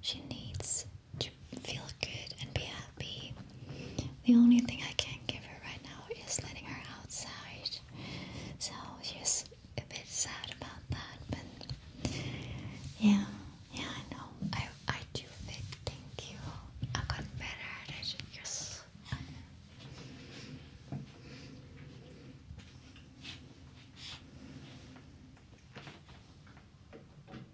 she needs to feel good and be happy. The only thing I can give her right now is letting her outside. So she's a bit sad about that, but yeah, yeah, I know. I I do think, Thank you. I got better at it. Yes.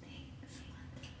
Things once better. Things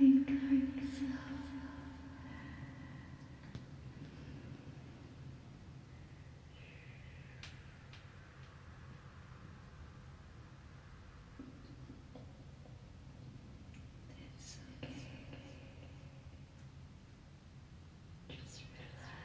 I'm going It's okay. Just relax.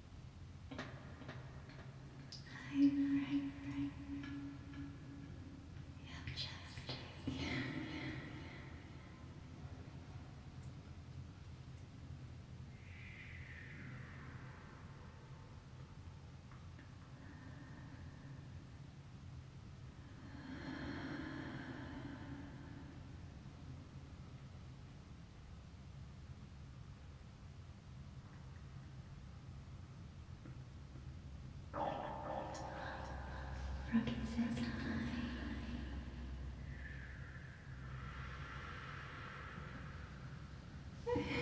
I right, right. Yep, just yeah. Rocky says hi. Hi.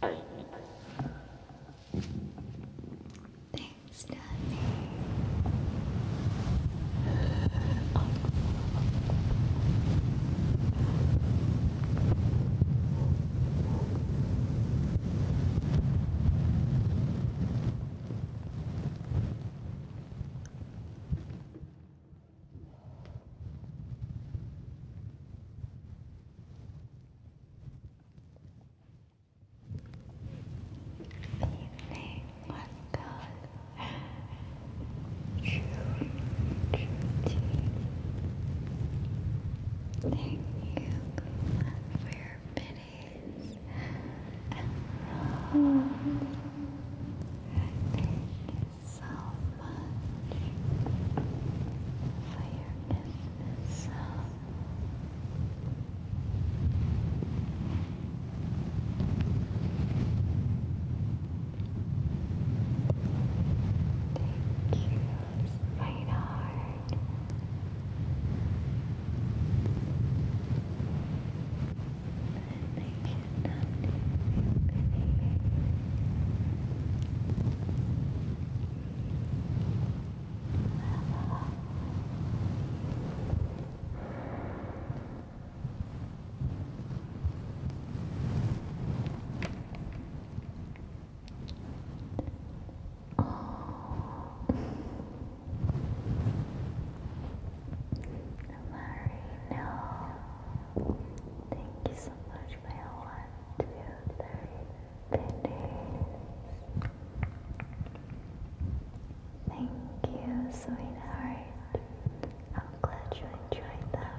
Nice. Thanks, Daddy. Evening was good. True, true Thank you for your biddies and Thank you so much for your business. Thank you, sweetheart. But I should not Thank Marino, thank you so much for your one, two, three videos. Thank you, sweetheart. I'm glad you enjoyed them.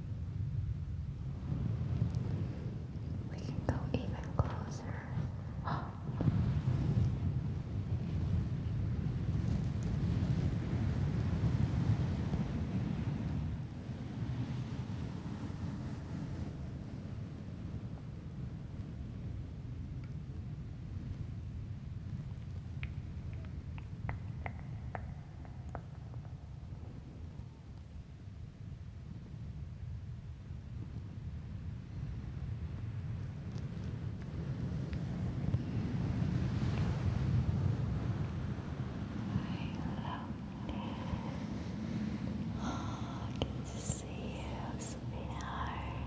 We can go even closer. Oh, good to see you, sweetheart.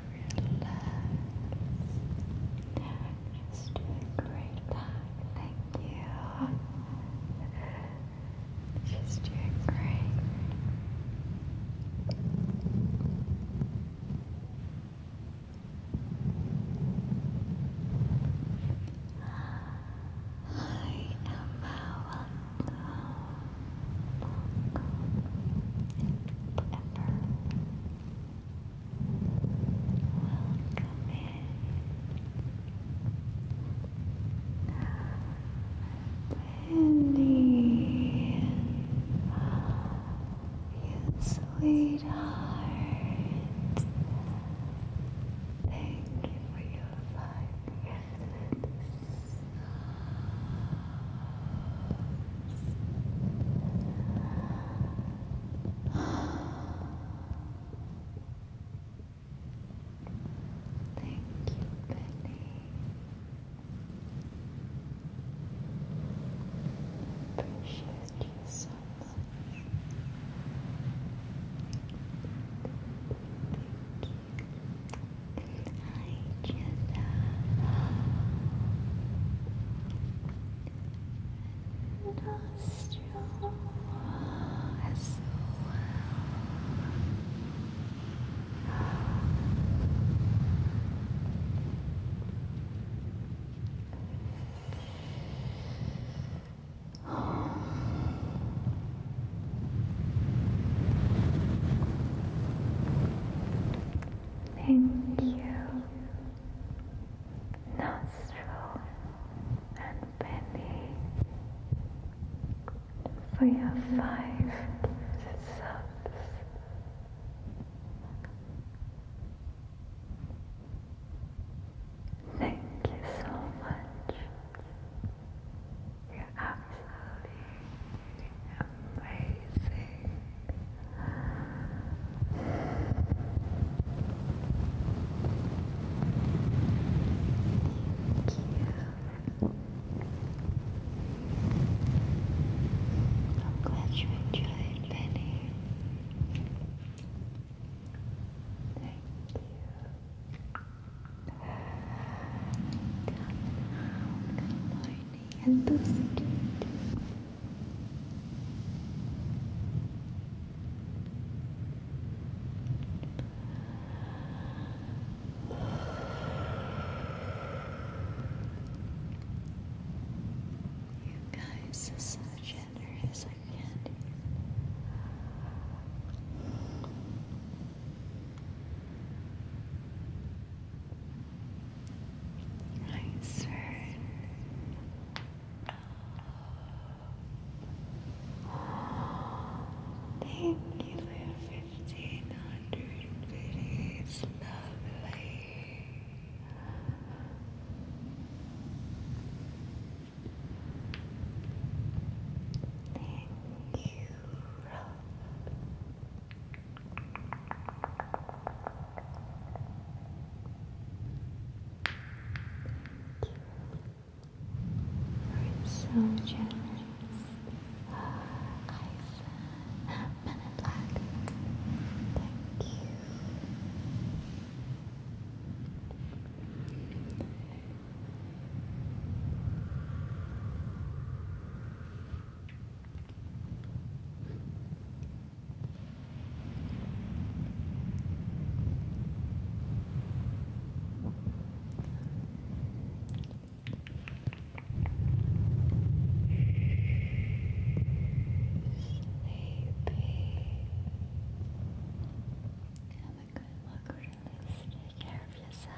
Just a great Thank you. Just doing great. Hi, Emma. Welcome. Welcome. Ever. Welcome in, Wendy. You sweetheart. Thank you for your life. Thank you, Benny, appreciate you and nostril as well. Thank you nostril and belly for your five subs. Thank you so much. You're absolutely Thank you. I'm glad you enjoyed, Benny. Thank you. good morning, and you guys, this is generous I can Nice. Thank you for fifteen hundred videos, lovely. Thank you, Rob. You're so generous. Guys, Men in Black. Thank you. Sleepy. Have a good look, release, take care of yourself.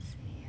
See you Good.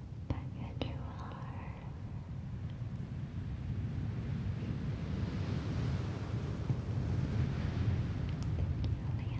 back at your heart. Thank you, Slowly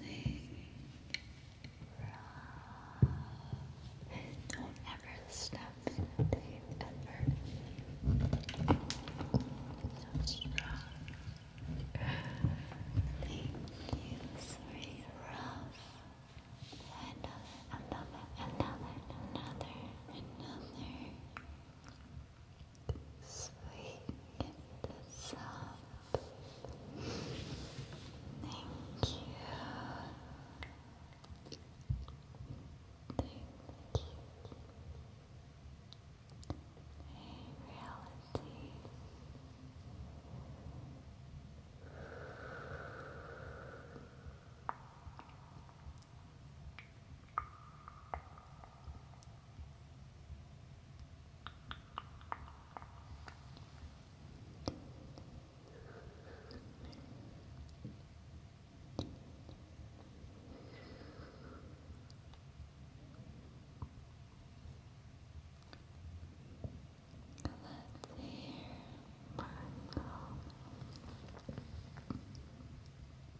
Relaxing. Don't ever stop into effort. So strong. Thank you, sorry, rough. Another, another, another, another, another sweet soft. Thank you. Thank you. Hey, reality. Let's hear Marco.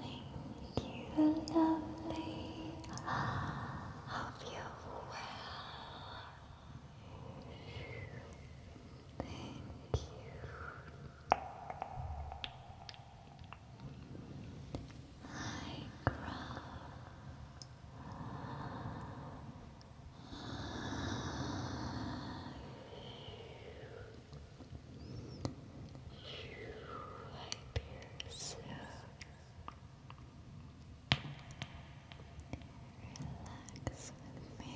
Thank you, lovely. Hope you're well. Thank you. I grow so relax with me.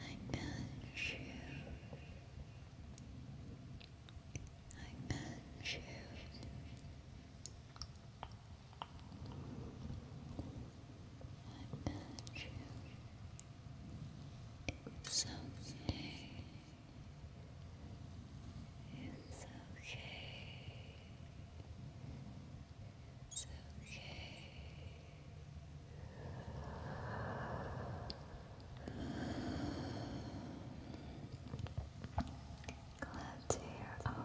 I got you. I got you. I got you. It's okay. It's okay. It's okay. Glad to hear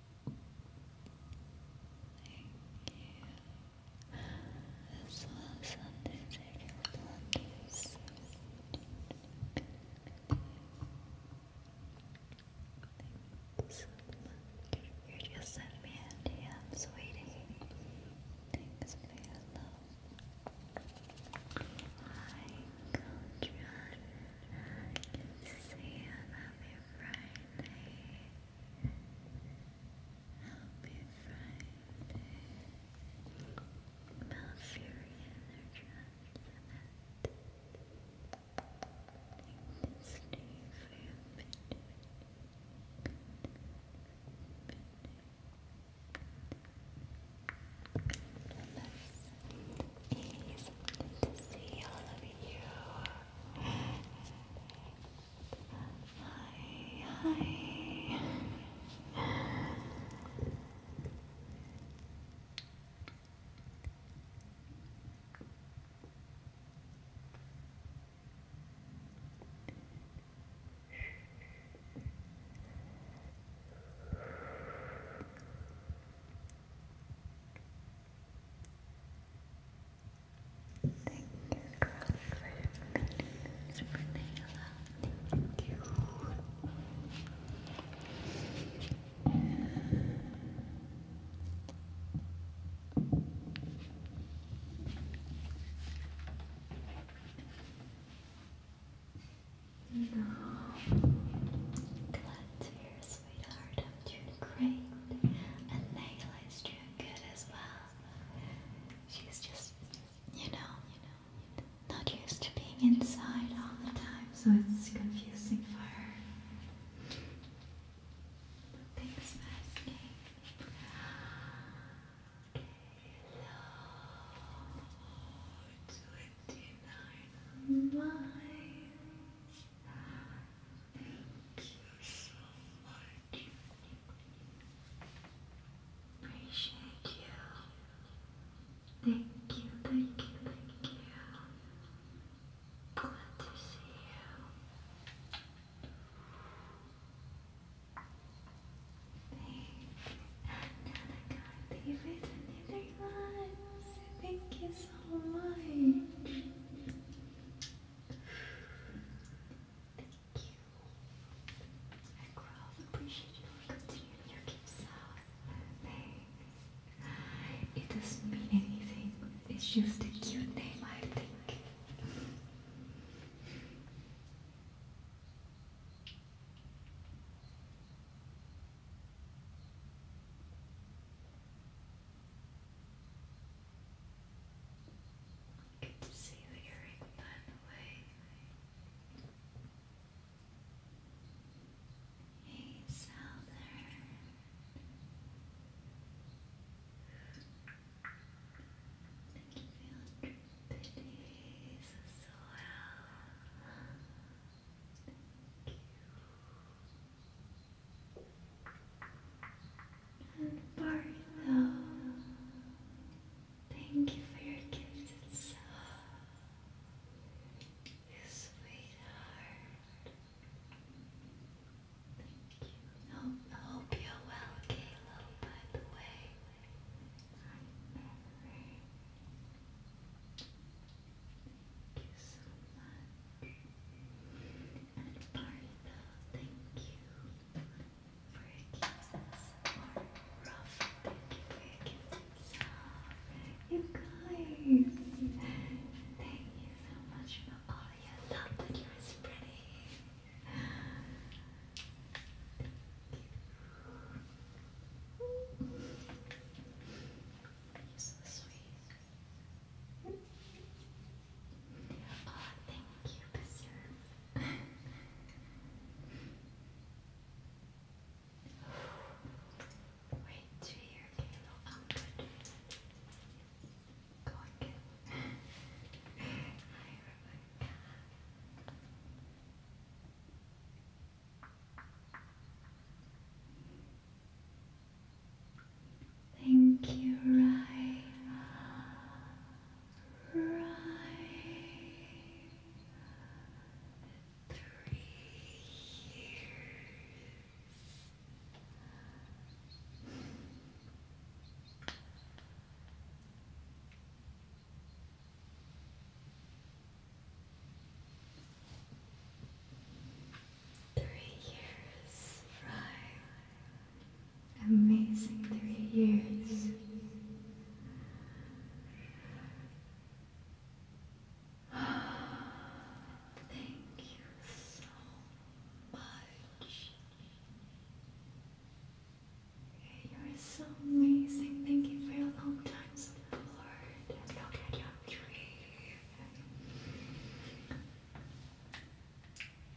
you. This was Sunday, Sundays. Thanks so much. You just sent me a sweetie. Thanks for your love. Hi, Coach to see you. Happy Friday. Happy Friday. Malfurion are trapped in it. Thank you, Steve, for your opinion. to see all of you. Hi, hi. Thank you, girl, for minutes for Thank you. No, glad to hear, sweetheart. I'm doing great, and Nayla good as well. She's just, you know, you know, not used to being inside all the time, so it's confusing for her. Thanks, masking. hello, 29 miles. you so much Appreciate you. Thank you, thank you, thank you. Glad to see you. Thanks, Angelica. Leave it another lives. Thank you so much. Thank you. I grow appreciate you for continuing your gifts It doesn't mean anything. It's just a cute name, I think. Can you see the earring blend away? Hey, Southern. Thank you for your pities as well. Thank you. And Bartho, thank you for your gift. and so sweetheart. Thank you. Hope, hope you're well, Kayla, by the way. Thank you so much. And Marina, thank you for your kisses. Or thank you for your kisses. You guys, thank you so much for all your love that you're spreading. You're so sweet. Oh, thank you, Besserve. Wait to hear Kalo. I'm good. Go Thank you, Rai. Rai. Three years. Three years, right? amazing three years. Thank you so much. You are so amazing. Thank you for your long time support. Look at your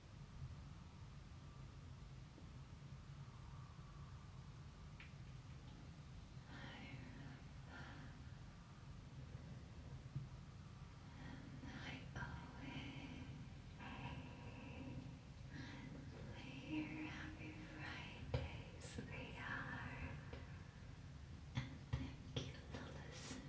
I always hear happy Friday, sweetheart. And thank you for listening.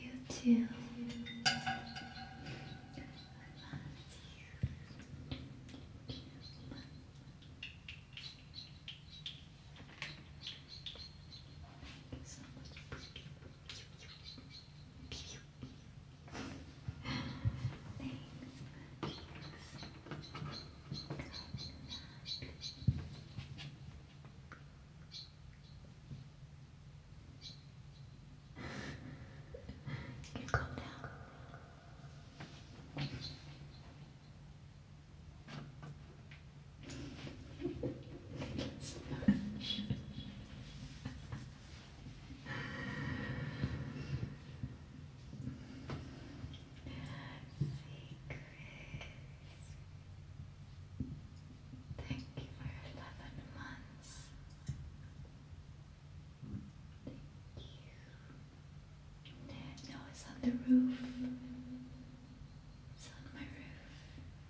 You too, Owen. You too. I love you. Can you calm down? Thank you for 11 months. Thank you. No, it's on the roof. It's on my roof.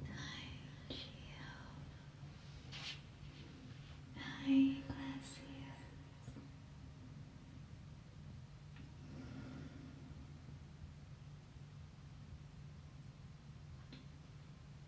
Hi, Gio. Hi, Glacius.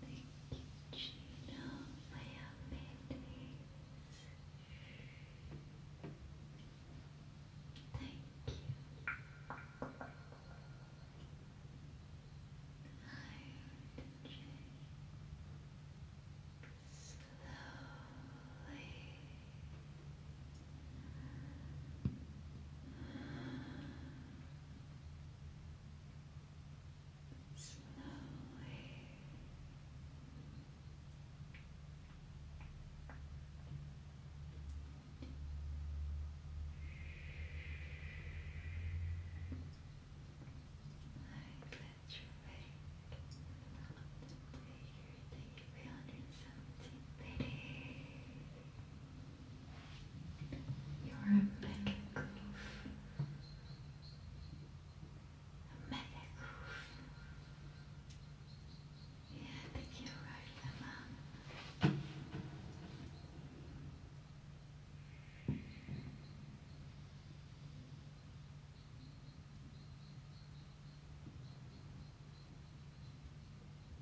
Thank you, Gina, my amenities. Thank you. Hydrogen. Slowly. Slowly slowly like that your weight up to your 317 pity. Thank you for you're a metal A metal Yeah, I think you're right, Emma.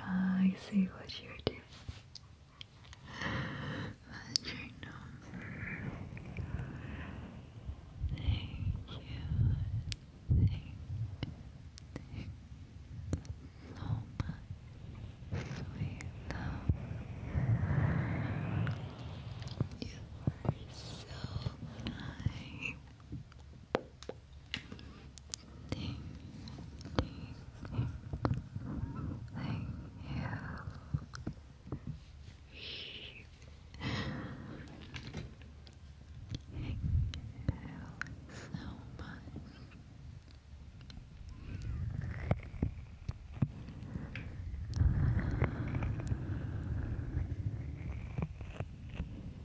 Ah, I see what you're doing. Thank you. Thank you. So much sweet love. You are so nice. Thank you. Thank you so much.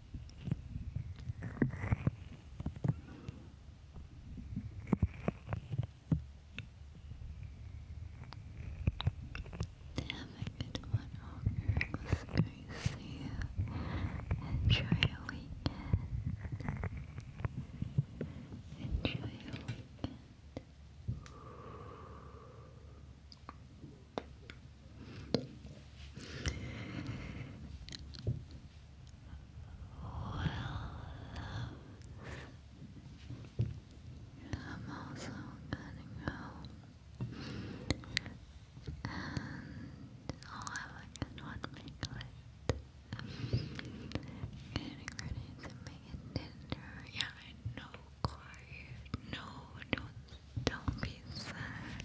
Have a good one, all girls. Great to see you. Enjoy your weekend. Enjoy your weekend. I'm also getting home, and I'll have a good one make Getting ready to make dinner. Yeah, I know, quiet. No, don't don't be sad.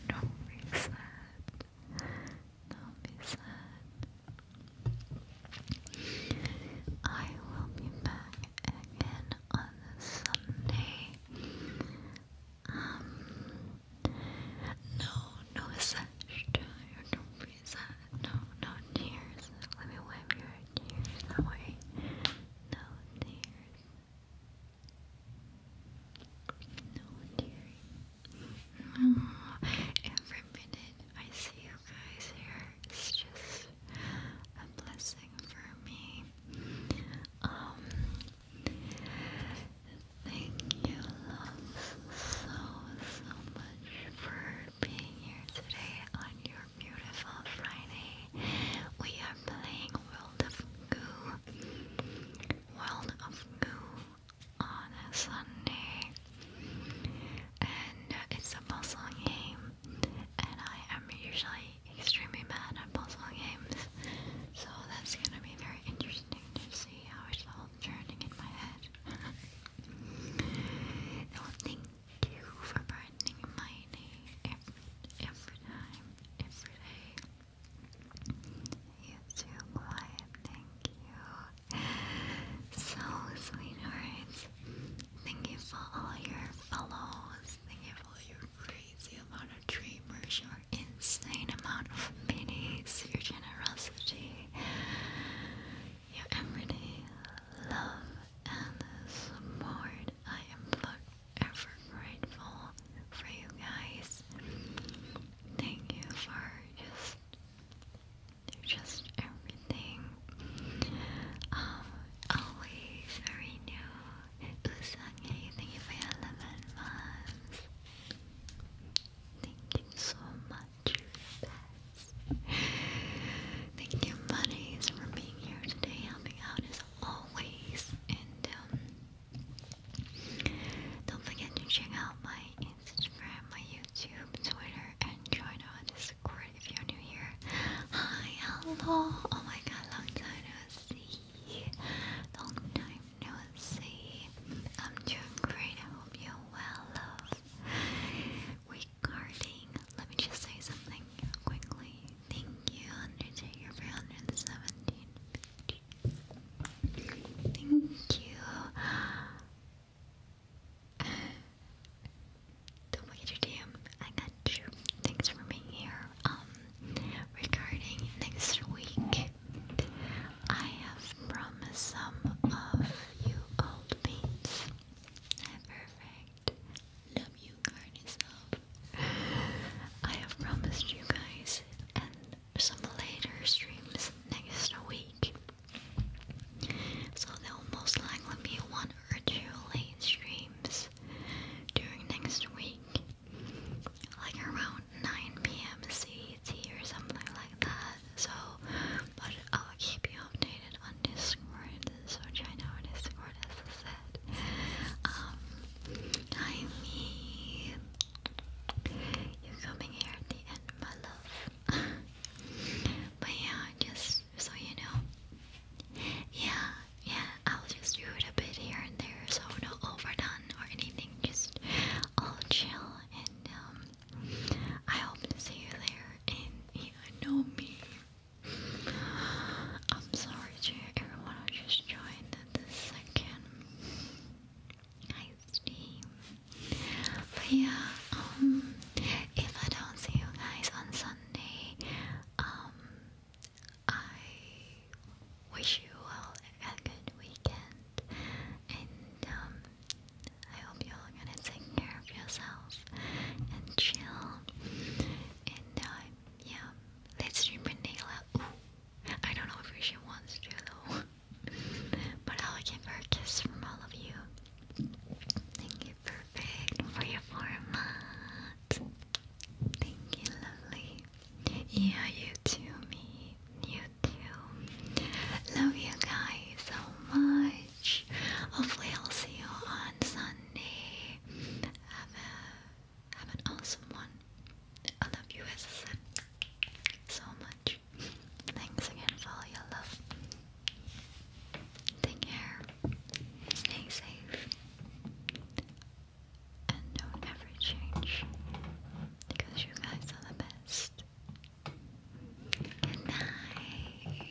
Don't be sad. Don't be sad. I will be back again on this Sunday. Um, no, no such tired. Don't be sad. No, no tears. Let me wipe your tears away. No tears. No one oh, every minute I see you guys here is just a blessing for me. Um, thank you so so much for being here today on your beautiful Friday. We are playing World of Goo. World of Goo on a Sunday, and it's a puzzle game. And I am usually extremely mad at puzzle games, so that's gonna be very interesting to see how it's all turning in my head. thank you for brightening my day every, every time, every day. YouTube Live, thank you. So, sweethearts, thank you for all your follows. Thank you for your crazy amount of dreamers, your insane amount of minis, your generosity, your everyday love and support. I am ever grateful for you guys. Thank you for just just everything. Um, always very new. thank you for your 11 months. Thank you so much. Thank you, buddies, for being here today, helping out as always. And um, don't forget to check out my Instagram, my YouTube, Twitter, and join our Discord if you're new here. Hi, hello! Oh my god, long time no see. Long time no see. I'm doing great. I hope you're well, love. Regarding, let me just say something quickly. Thank you, Undertaker, for 117 Thank you. Uh, don't forget your I got you. Thanks for being here. Um, regarding next week, I have promised some of you old beans. Perfect. Love you, garden yourself. I have promised you guys, and some later streams next week. So there will most likely be one or two late streams during next week, like around 9 p.m. CDT or something like that. So, but I'll keep you updated on Discord. So join our Discord as I said. Um, I mean, you're coming here at the end, my love. but yeah, just so you know. Yeah, yeah, I'll just do it a bit here and there, so not overdone or anything. Just all chill, and um, I hope to see you there. And you know me. I'm sorry to everyone who just joined at this second iced tea. But yeah, um, if I don't see you guys on Sunday, um, I wish you all a good weekend, and um, I hope you're gonna take care of yourself and chill. And uh, yeah, let's dream and I don't know if she wants to though. but I'll give her a kiss from all of you. Thank you, perfect, for your format. Thank you, lovely. Yeah, you too, me. You too. Love you guys so much. Hopefully, I'll see you on Sunday. Have have an awesome one. I love you, as I said, so much. Thanks again for all your love. Take care. Stay safe. And don't ever change. Because you guys are the best. Good night.